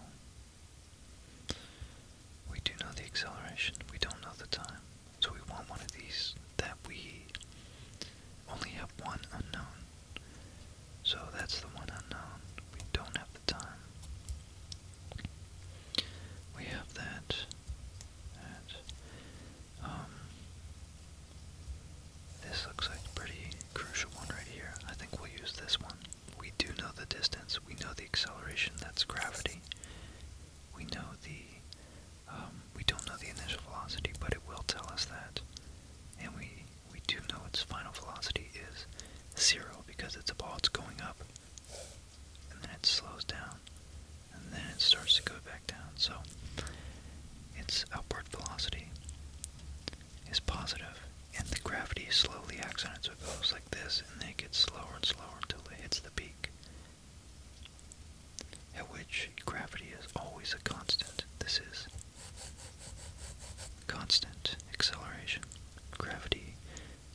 We do know the acceleration, we don't know the time. So we want one of these that we only have one unknown. So that's the one unknown. We don't have the time. We have that. That. Um, this looks like a pretty crucial one right here. I think we'll use this one we do know the distance, we know the acceleration, that's gravity. We know the, um, we don't know the initial velocity, but it will tell us that. And we, we do know its final velocity is zero because it's a ball, it's going up. And then it slows down, and then it starts to go back down. So, its upward velocity is positive and the gravity slowly accelerates on its goes like this, and then it gets slower and slower until it hits the peak. At which gravity is always a constant. This is constant acceleration. Gravity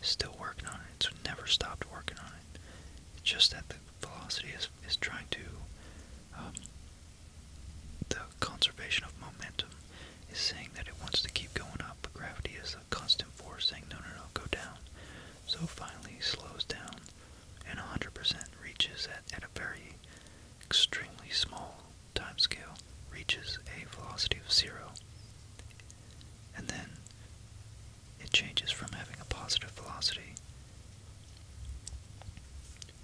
is still working on it. It's never stopped working on it. It's just that the velocity is, is trying to, um, the conservation of momentum is saying that it wants to keep going up, but gravity is a constant force saying, no, no, no, go down. So finally slows down and 100% reaches at, at a very extremely small time scale, reaches a velocity of zero. And then it changes from having a positive velocity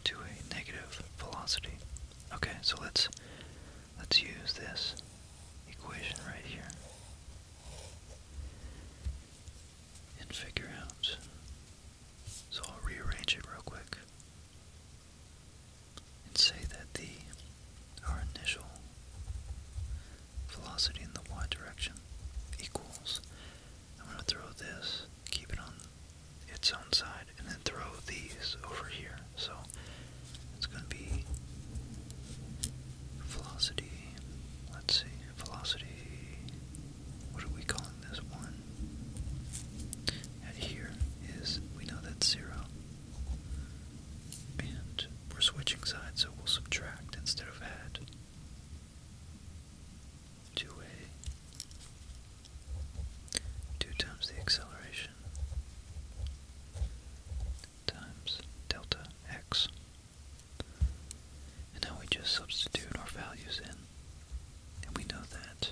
to a negative velocity. Okay, so let's Let's use this equation right here and figure out. So I'll rearrange it real quick and say that the our initial velocity in the y direction equals I'm going to throw this, keep it on its own side, and then throw these over here. So it's going to be velocity. Let's see. Velocity. What are we calling this one? And here is, we know that's zero. And we're switching sides, so we'll subtract instead of add. 2a. 2 times the acceleration times delta x. And now we just substitute our values in. And we know that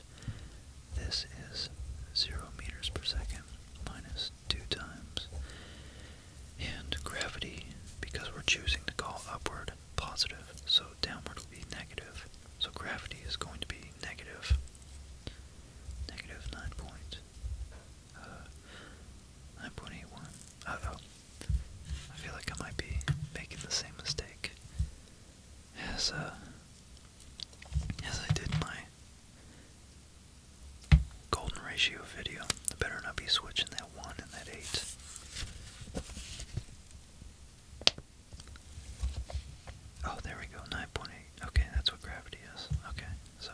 this is 0 meters per second minus 2 times. And gravity, because we're choosing to call upward positive, so downward will be negative. So gravity is going to be negative, negative 9.5 uh, 9.81. uh I feel like I might be making the same mistake as, uh, as I did my golden ratio video. I better not be switching that 1 and that 8. Oh, there we go, 9.8. Okay, that's what gravity is. Okay. So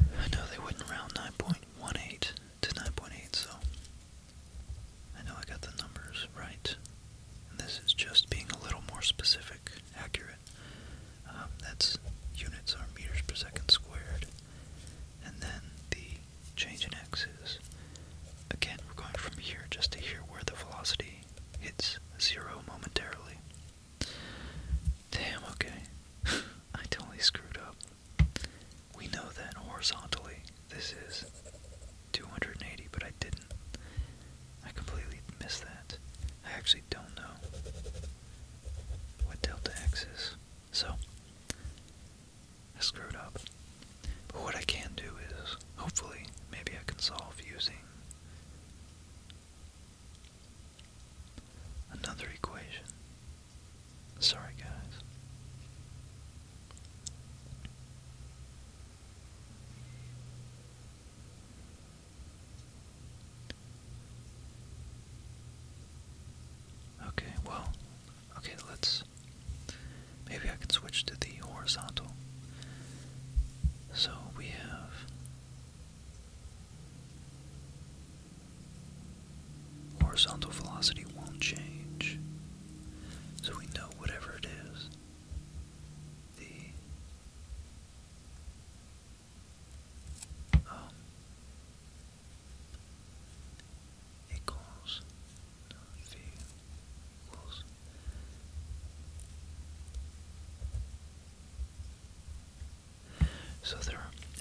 I know they wouldn't round 9.18 to 9.8, so I know I got the numbers right. this is just being a little more specific, accurate. Um, that's units are meters per second squared. And then the change in x is, Again, we're going from here just to here where the velocity hits zero momentarily. Damn, okay. *laughs* I totally screwed up. We know then horizontally this is 280, but I didn't. I completely missed that. I actually don't know what delta x is. So, I screwed up. But what I can do is, hopefully, maybe I can solve using another equation. Sorry, guys. Okay, well, Okay, let's. Maybe I can switch to the horizontal. So we have. Horizontal velocity won't change. So we know whatever it is, the um, so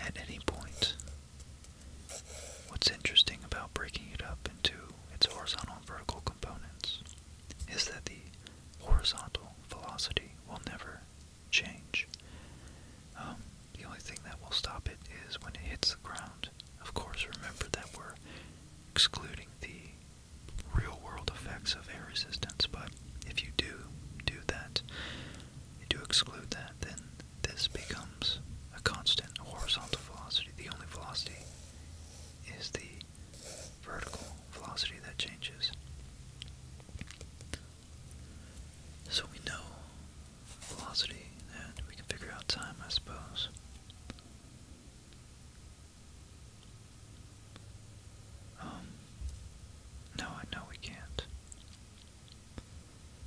at any point what's interesting about breaking it up into its horizontal and vertical components is that the horizontal velocity will never change. Um, the only thing that will stop it is when it hits the ground of course, remember that we're excluding the real world effects of air resistance, but if you do do that, you do exclude that, then this becomes a constant horizontal velocity. The only velocity is the vertical velocity that changes. So we know velocity, and we can figure out time, I suppose. Um, no, I know we can't.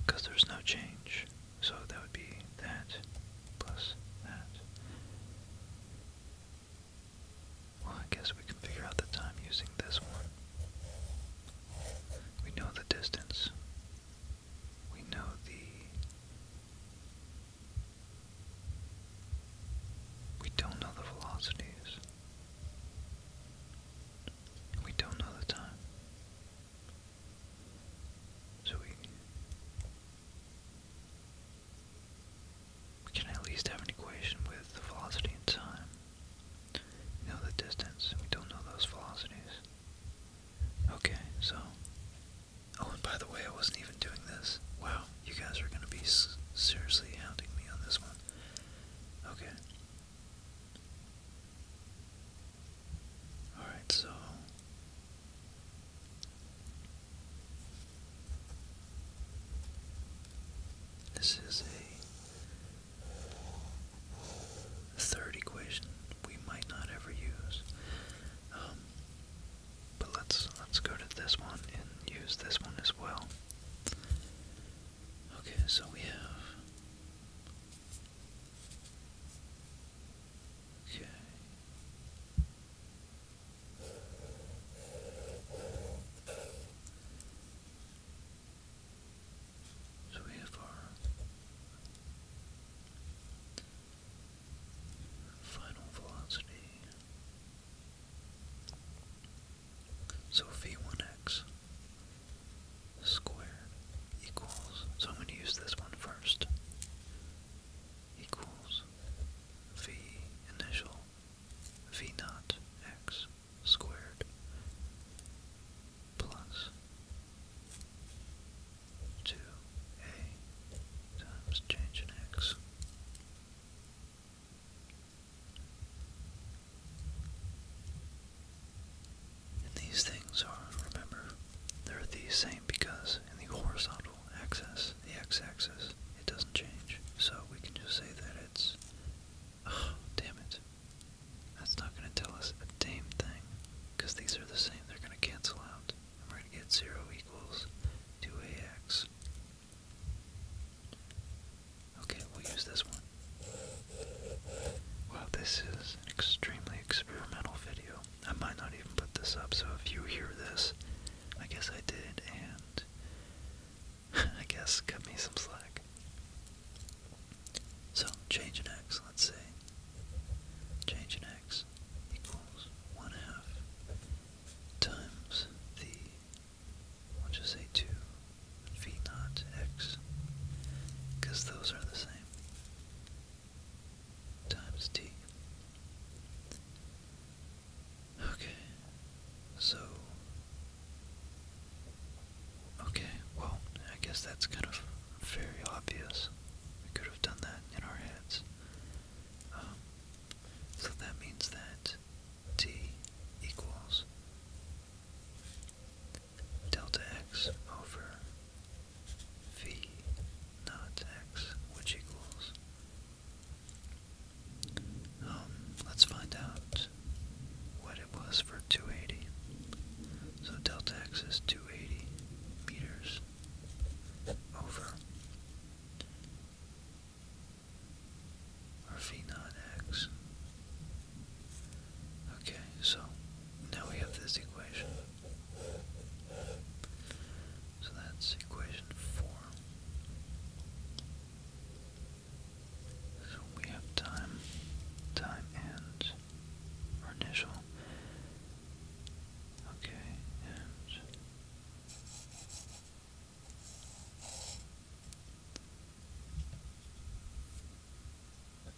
Because there's no change. So that would be that plus that. Well, I guess we can figure out the time using this one. We know the distance. We know the we don't know the velocities. We don't know the time. So we, we can at least have an equation with the velocity and time. We know the distance. We don't know those velocities. Okay, so Oh, and by the way, I wasn't even doing this. Wow, you guys are going to be seriously hounding me on this one. Okay. Alright, so. This is a third equation we might not ever use. Um, but let's let's go to this one and use this one as well. Okay, so we have Okay. So we have our Final velocity. So V1x squared equals, so I'm going to use this one first, equals V initial V naught x squared plus 2a times change in x. And these things are, remember, they're the same because in the horizontal axis, the x-axis, it doesn't change. So we can just say that it's... Oh, damn it. That's not going to tell us a damn thing because these are the same. They're going to cancel out we're going to get 0 equals 2ax. Okay, we'll use this one. Well, this is an extremely experimental video. I might not even put this up, so if you hear this, I guess I did, and *laughs* I guess cut me some slack. So, change in x, let's say. Change in x equals 1 half times the, we'll just say 2 v naught x, because those are the same, times t. Okay, so, okay, well, I guess that's kind of very obvious. We could have done that in our heads. Um, so that means that t equals delta x over v naught x, which equals. Um, let's find out what it was for 280. So delta x is 280 meters over. Or v naught x. Okay, so now we have this equation. So that's equation 4. So we have time, time and our initial Okay, and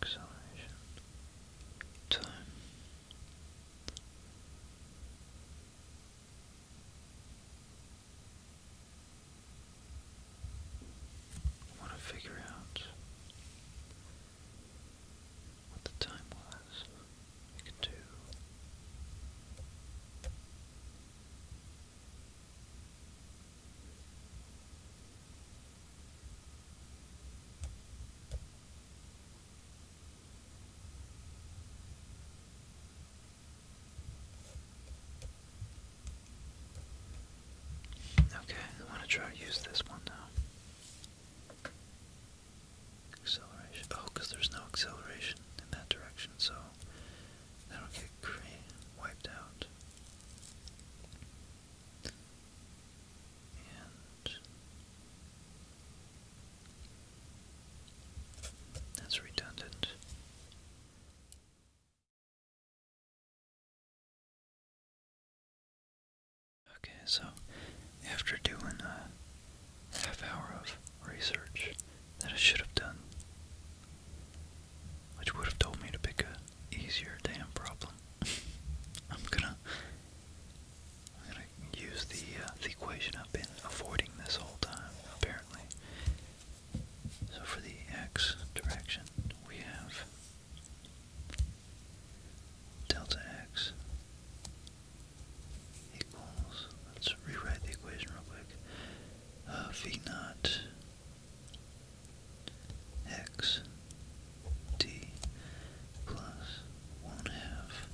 acceleration time. want to figure out what the time was. We could do Okay, I want to try to use this one now. Acceleration. Oh, because there's no acceleration in that direction, so that'll get wiped out. And that's redundant. Okay, so after doing a half hour of research that I should have done, which would have told me to pick a easier damn problem, *laughs* I'm gonna gonna use the uh, the equation I've been avoiding this whole time apparently. So for the x direction, we have delta x equals, let's rewrite the equation real quick, uh, v naught x d plus 1 half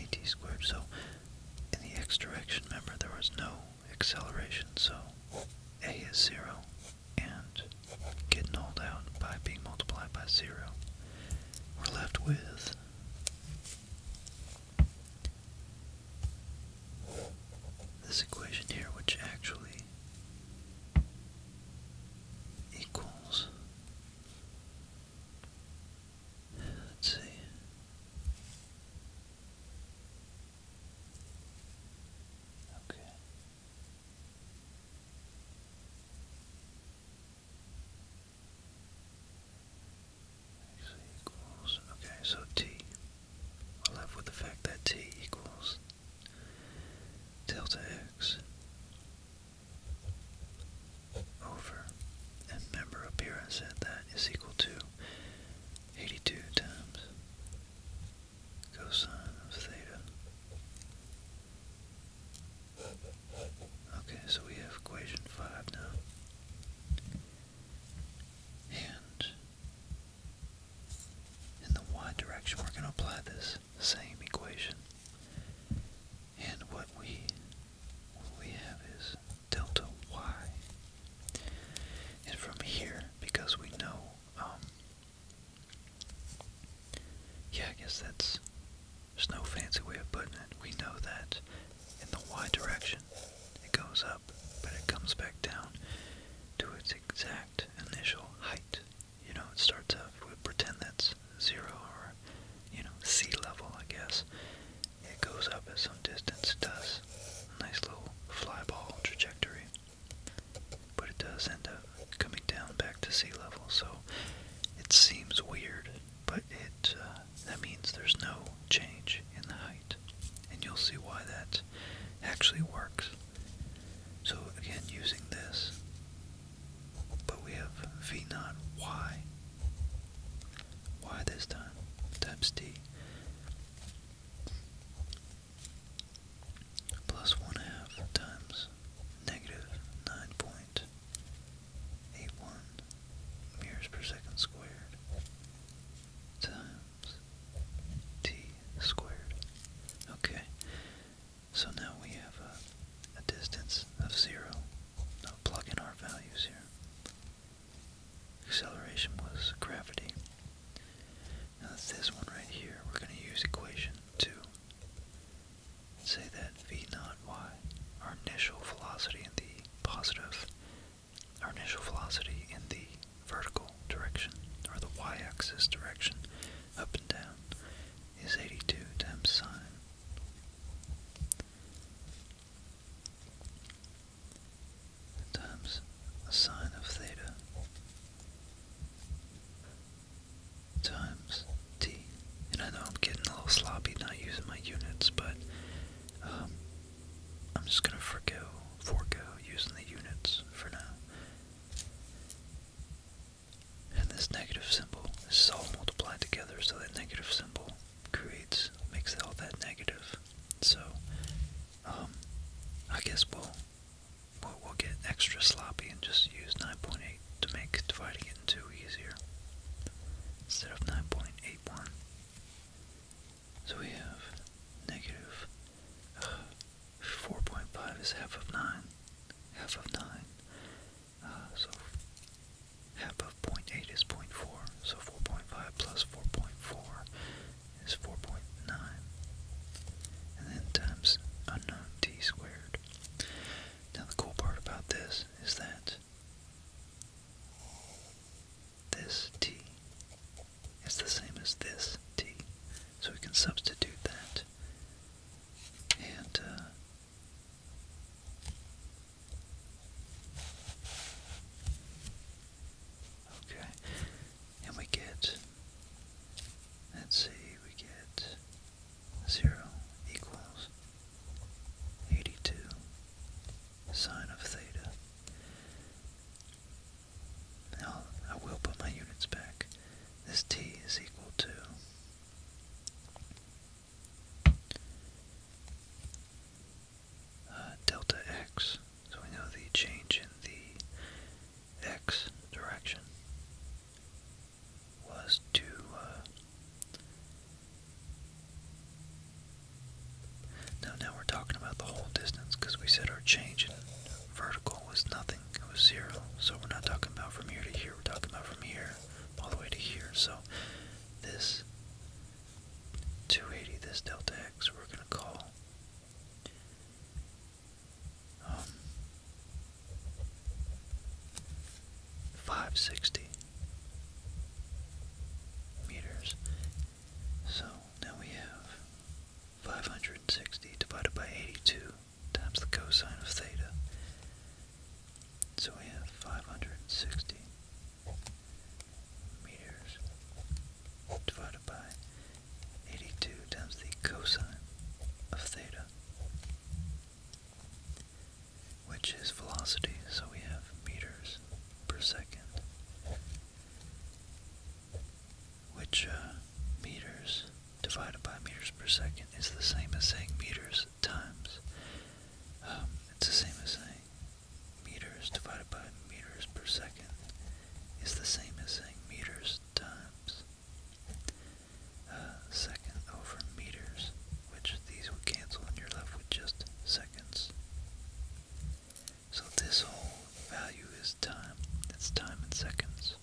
at squared. So in the x direction, remember there was no acceleration, so a is 0 and get nulled out by being multiplied by 0. We're left with this equation here, which actually equals, let's see, okay, X equals, okay, so t. we're left with the fact that t equals delta x over, and remember up here I said that is equal to 82 times cosine of theta. Okay, so we have equation 5 now. And in the y direction, we're going to apply this same equation. And what we we have is delta y. And from here, because we know um, yeah, I guess that's. There's no fancy way of putting it. We know that in the y direction it goes up, but it comes back down to its exact initial height. You know, it starts out, we pretend that's zero or, you know, sea level, I guess. It goes up at some distance, it does. A nice little fly ball trajectory but it does end up coming down back to sea level, so it seems weird, but it uh, that means there's no change in the height, and you'll see why that actually works. So again, using this, but we have v naught y, y this time times d plus one half times negative nine point eight one meters per second squared times t squared. Okay, so now we have a, distance of zero. Now plug in our values here. Acceleration was gravity. Now that's this one right here. We're going to use equation 2 say that v naught y, our initial velocity in the positive, our initial velocity in the vertical direction, or the y-axis direction, up and down, is 82 times sine. times a sine of theta times t. And I know I'm getting a little sloppy not using my units, but um, I'm just going to forego forego using the units for now. And this negative symbol is all multiplied together, so that negative symbol creates, makes it all that negative. So, um, I guess we'll We'll, get extra sloppy and just use 9.8 to make dividing it in two easier instead of 9.81. So we have uh, 4.5 is half of 9, half of 9. Uh, so half of 0.8 is 0.4, so 4.5 plus 4.4 is 4.9. And then times unknown t squared. Now the cool part about this is that this t is the same as this t. So we can substitute that and uh, okay, and we get let's see, we get 0 equals 82 sine of theta. Now, I will put my units back. This t is equal to uh, delta x, so we know the change in the x direction was to uh, now we're talking about the whole distance because we said our change in vertical was nothing it was zero so we're not talking about from here to here we're talking about from here all the way to here so this 280 this delta x we're going to call um, 560 meters. So now we have 560 divided by 82 times the cosine of theta. So we have 560 meters divided by 82 times the cosine of theta which is velocity, so we have meters per second, which uh, meters divided by meters per second is the same as saying meters times. Um, it's the same as saying meters divided by meters per second is the same as saying meters times uh, over meters, which these will cancel and you're left with just seconds. So this whole value is time. That's time in seconds.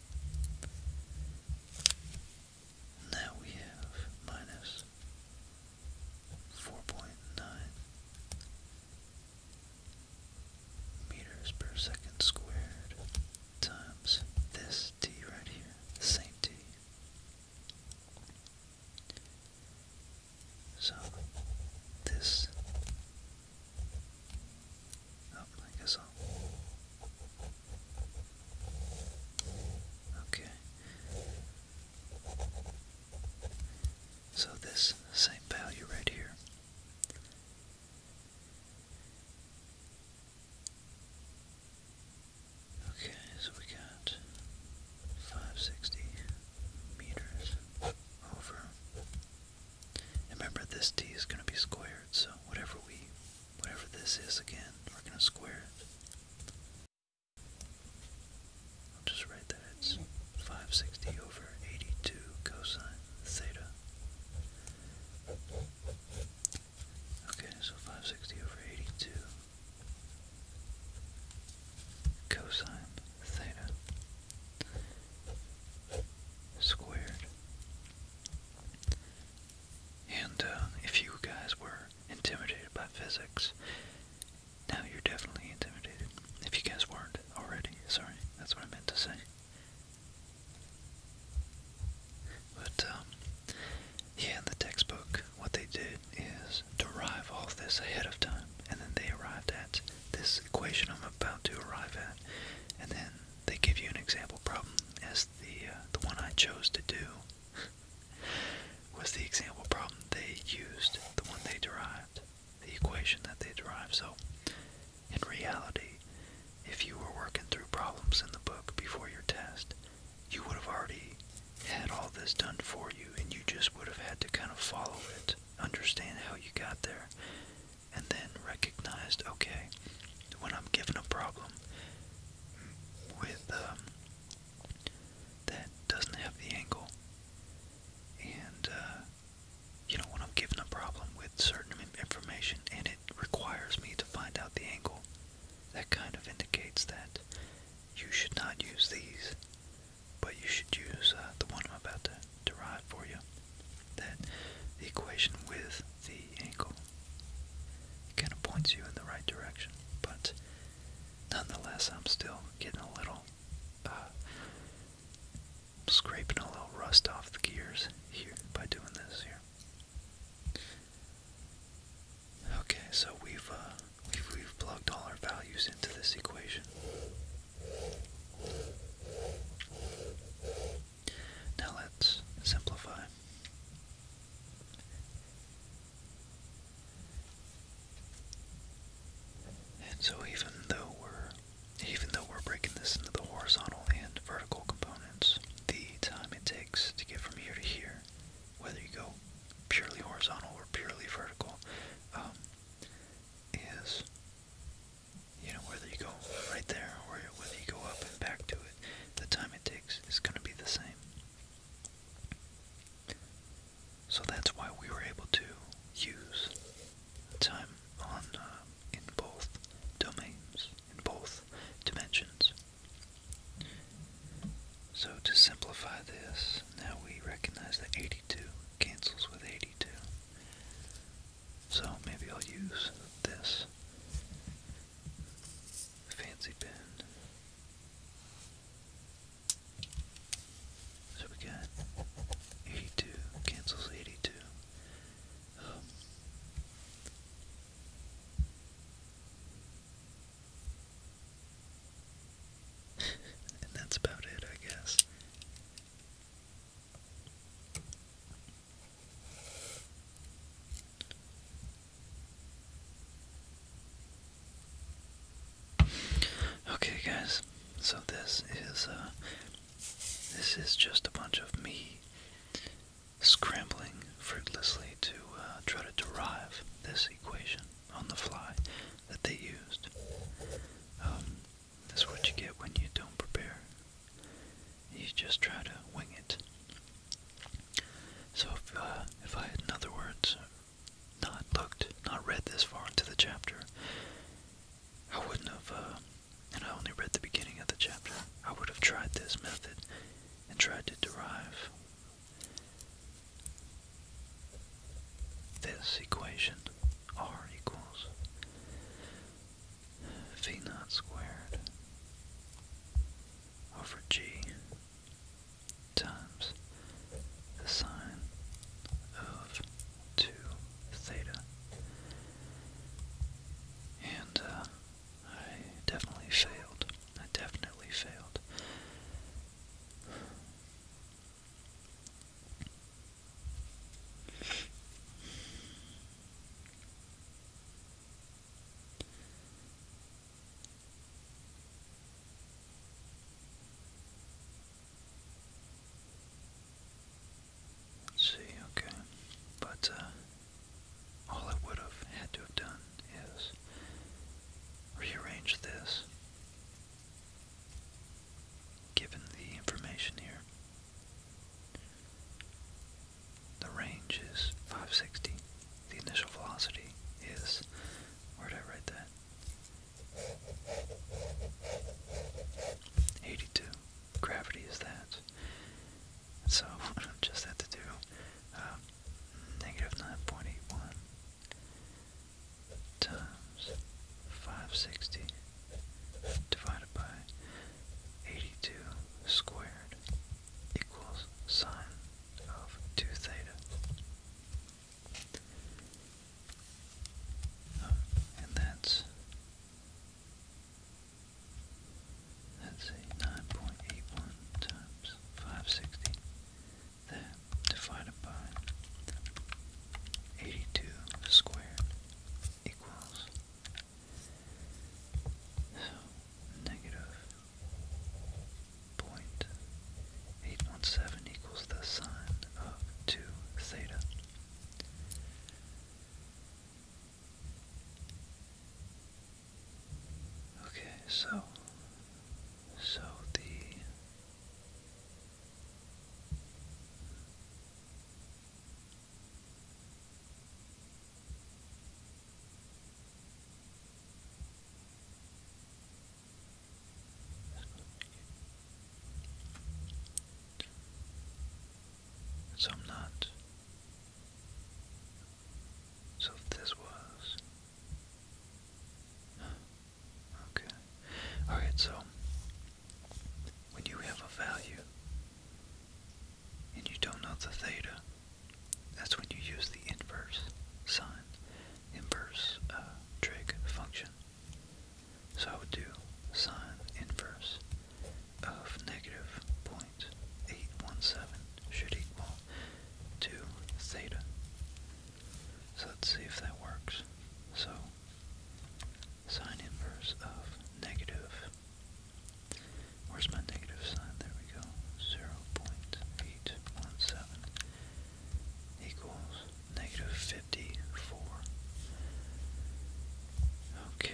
Now we have minus 4.9 meters per second squared times this t right here, the same t. So this, oh, I guess I'll, okay. So this same value right here Okay, so we got 560 meters over. remember, this d is going to be squared, so whatever we, whatever this is again, we're going to square it. I'll just write that it's 560 over 82 cosine theta. Okay, so 560 over 82 cosine theta squared. And uh, if you guys were intimidated by physics, now you're definitely intimidated. If you guys weren't already, sorry, that's what I meant to say. But um, yeah, in the textbook, what they did is derive all this ahead of time, and then they arrived at this equation I'm about to arrive at, and then they give you an example problem, as the uh, the one I chose to do *laughs* was the example problem they used, the one they derived, the equation that they derived. So, in reality, say if you were working through problems in the book before your test, you would have already had all this done for you and you just would have had to kind of follow it, understand how you got there, and then recognized, okay, when I'm given a problem with um, that doesn't have the angle, and uh, you know, when I'm given a problem with certain information and requires me to find out the angle, that kind of indicates that you should not use these, but you should use uh, the one I'm about to derive for you. That the equation with the angle kind of points you in the right direction, but nonetheless, I'm still getting a little. Uh, scraping a little rust off the gears here by doing this here. Okay, so we've uh, we've we've plugged all our values into this equation. Now let's simplify. And so even though we're even though we're breaking this into the horizontal and vertical components, the time it takes to get from here to here, whether you go purely horizontal or purely vertical, um, is, you know, whether you go right there or whether you go up and back to it, the time it takes is going to be the same. So that's why we were able to use time on uh, in both domains, in both dimensions, so to simplify this, now we recognize that 82 cancels with 82. So maybe I'll use this fancy pen. So we got 82 cancels 82. Um, *laughs* and that's about it, I guess. Okay, guys. So this is uh, this is just a bunch of me scrambling fruitlessly to uh, try to derive this equation on the fly that they used. Um, that's what you get when you don't prepare. You just try to wing it. So if, uh, if I had, in other words, not looked, not read this far into the chapter, I wouldn't have, uh, and I only read the beginning of the chapter, I would have tried this method and tried to derive this equation r equals v naught squared over g times the sine of 2 theta and uh, I definitely failed. I definitely failed. Let's see, okay. But, uh, all it would have had to have done is rearrange this, given the information here. The range is 560. The initial velocity is, where did I write that? 82. Gravity is that. So *laughs* I just have to do uh, 9.81 times 560 divided by 82 squared equals sine of 2 theta. Um, and that's Let's see, 9.81 times 560. That divided by 82 squared equals so negative 0.817 equals the sine of 2 theta. Okay, so so the so not so this was okay. Alright, so when you have a value and you don't know the theta, that's when you use the inverse sine, inverse uh, trig function. So I would do sine inverse of negative negative point eight one seven should equal 2 theta. So let's see if that works. So sine inverse of negative, where's my negative sign? There we go. 0.817 equals negative 54. Okay.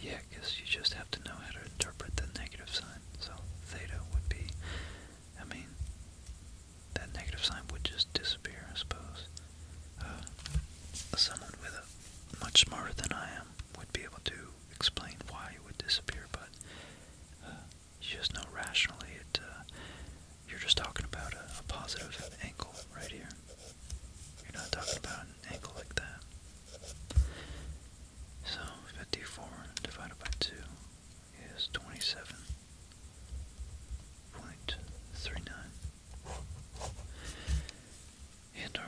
Yeah, because you just have to know how to interpret the negative sign. So theta would be, I mean, that negative sign would just disappear, I suppose. Uh, someone with a much smarter than I am would be able to explain why it would disappear, but uh, you just know rationally it. Uh, you're just talking about a positive angle right here. You're not talking about an angle like that. So 54 divided by 2 is 27.39. And our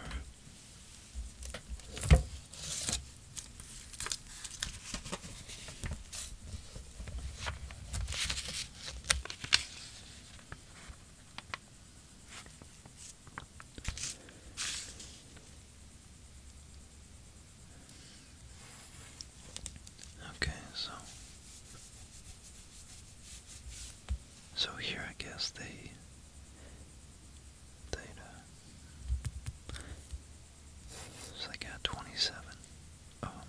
Okay, so so here I guess they they uh, so they got twenty seven. Um oh,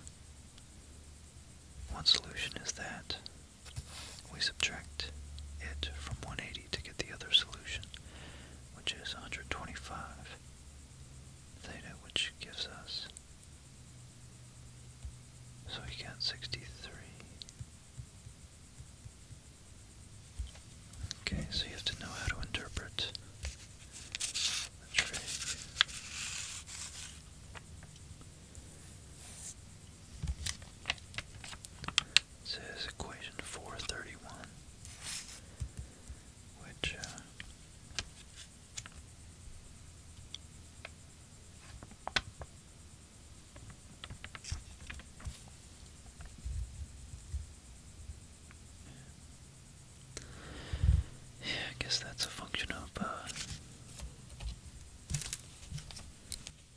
one solution is that we subtract it from 180 to get the other solution, which is 125 theta, which gives us, so we got 63. Okay, so you have to know how to interpret the trig. This is equation 431, which uh, yeah, I guess that's a function of uh,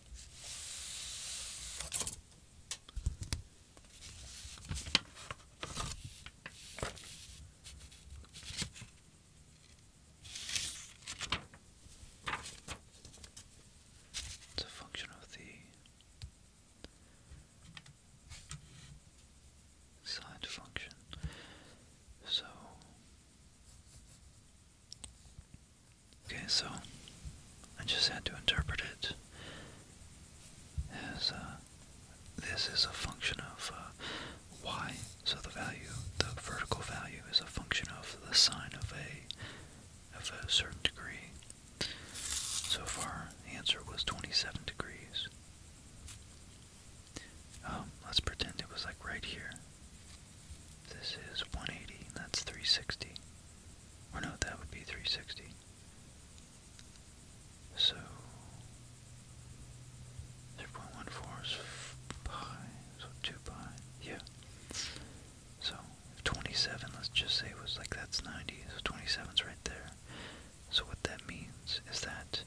it's a function of the side function. So Okay, so I just had to interpret it as uh, this is a function of uh, y, so the value, the vertical value, is a function of the sine of a of a certain degree. So far, the answer was 27 degrees. Um, let's pretend it was like right here. This is 180, that's 360. Or no, that would be 360. So 0.14 pi, so 2 pi, yeah. So 27, let's just say, was like that's 90, so 27's right there. So what that means is that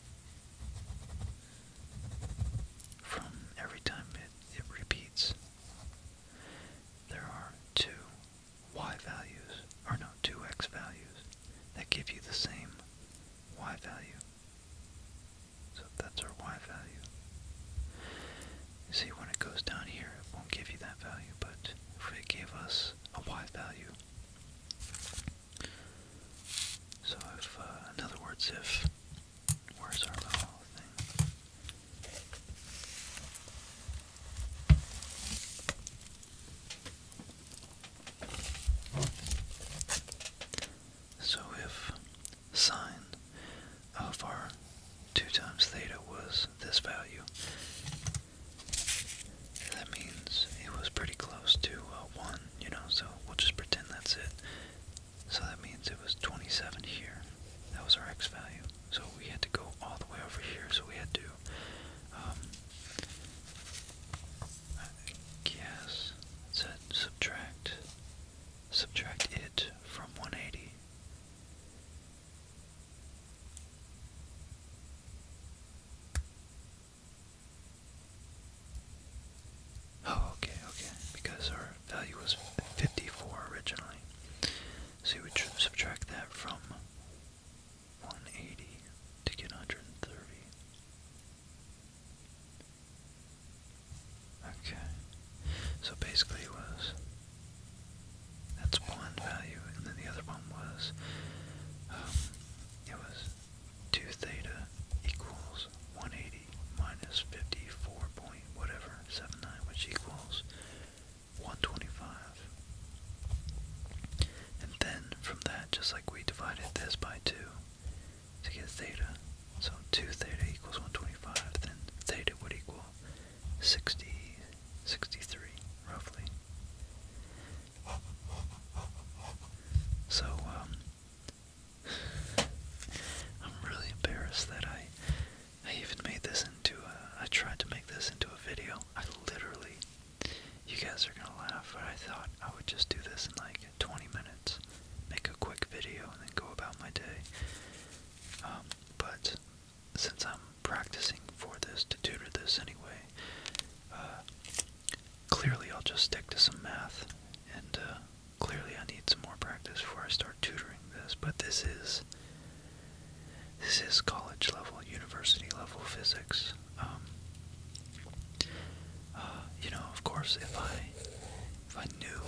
from every time it, it repeats, there are two y values, or no, two x values, that give you the same y value. So that's our y value. You see, when it goes down here, it won't give you that value, but if it gave us a y value, so if, uh, in other words, if Where's our little So if sine of our 2 times theta was this value, that means it was pretty close to uh, 1, you know, so we'll just pretend that's it. So that means it was 27 here. That was our x value. So we had to go all the way over here. So we had to, um, I guess, subtract, subtract it from 180. Oh, okay, okay. Because our value was 54 originally. So you subtract that from 180 to get 130. Okay. So basically it was that's one value and then the other one was um, it was 2 theta equals 180 minus 54 point whatever 79 which equals 125. And then from that, just like we divided this by 2 to get theta, so 2 theta equals 125, then theta would equal 60, 63, roughly. So, um, *laughs* I'm really embarrassed that I I even made this into a, I tried to make this into a video. I literally, you guys are gonna laugh, but I thought I would just do this in like 20 minutes, make a quick video, and then go about my day. Um, but since I'm practicing for this to tutor this anyway, uh, clearly I'll just stick to some math, and uh, clearly I need some more practice before I start tutoring this. But this is this is college level, university level physics. Um, uh, you know, of course, if I if I knew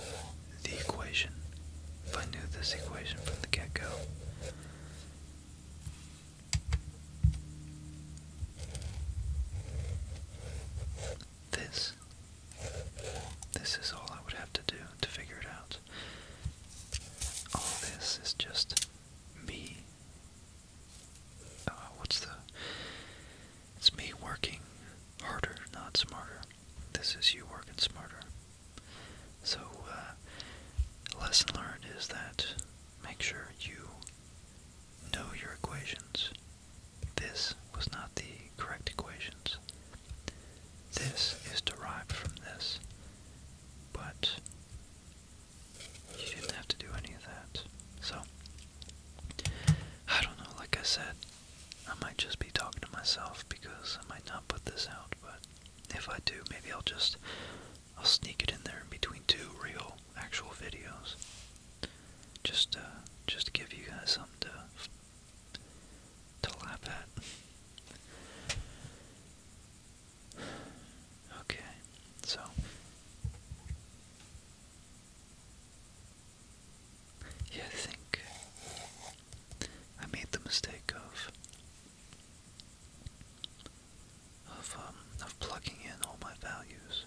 the equation, if I knew this equation from the get-go, this this is all I would have to do to figure it out. All this is just me. Uh, what's the. It's me working harder, not smarter. This is you working smarter. So, uh, lesson learned is that make sure you know your equations. This was not the correct equations. This is derived from this, but you didn't have to do any of that. So, I don't know, like I said, I might just be talking to myself because I might not put this out, but if I do, maybe I'll just, I'll sneak it in there in between two real, actual videos. Just, just to give you guys something to to laugh at. Okay, so yeah, I think I made the mistake of of um plugging in all my values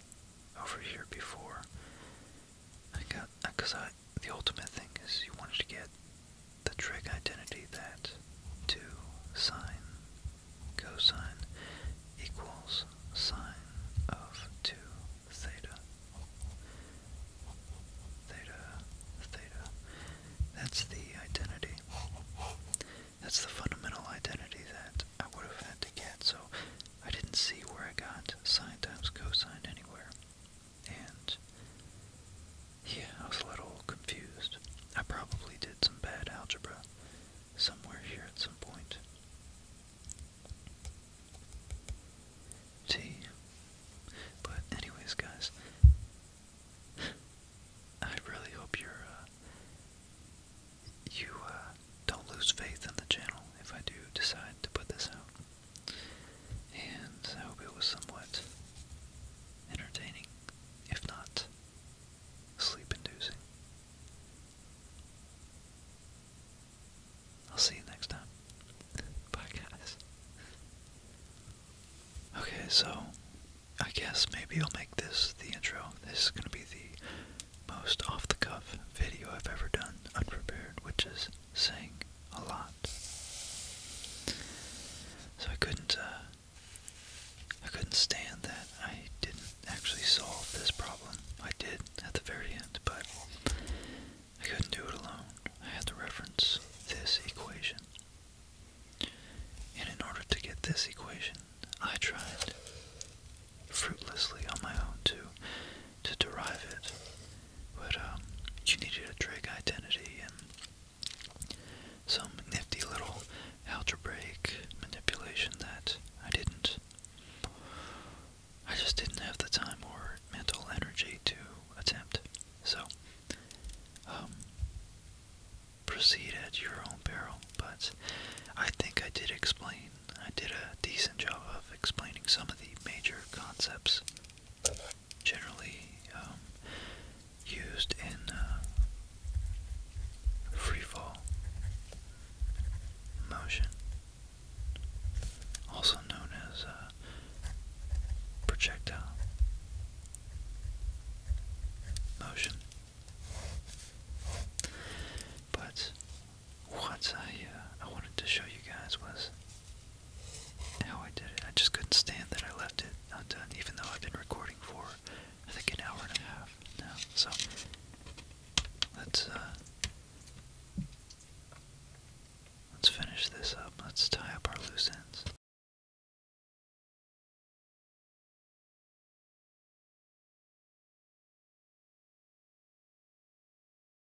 over here before I got because I the ultimate thing is you wanted to get the trig identity that 2 sine cosine equals sine of 2 theta. Theta, theta. That's the identity. That's the fundamental identity that I would have had to get, so I didn't see where I got sine times cosine anywhere and yeah, I was a little confused. I probably did some bad algebra somewhere here at some point. T. But anyways, guys, I really hope you're, uh, you, uh, don't lose faith in the channel if I do decide to put this out. And I hope it was somewhat entertaining, if not sleep inducing. I'll see you next time. Bye, guys. Okay, so I guess maybe I'll make this the intro. This is going to be the most off the cuff video I've ever done unprepared, which is Saying a lot. So I couldn't, uh, I couldn't stand that I didn't actually solve this problem. I did at the very end, but I couldn't do it alone. I had to reference this equation. And in order to get this equation, I tried fruitlessly on my own to to derive it but um, you needed a trig identity and some nifty little algebraic manipulation that I didn't. I just didn't have the time or mental energy to attempt. So, um, proceed at your own peril. But I think I did explain, I did a decent job of explaining some of the major concepts generally um, used in uh, free fall motion, also known as uh, projectile motion. But what I uh, I wanted to show you guys was how I did it. I just couldn't stand that I left it undone, even though I've been recording for I think an hour and a half now. So let's uh, let's finish this up. Let's tie up our loose ends.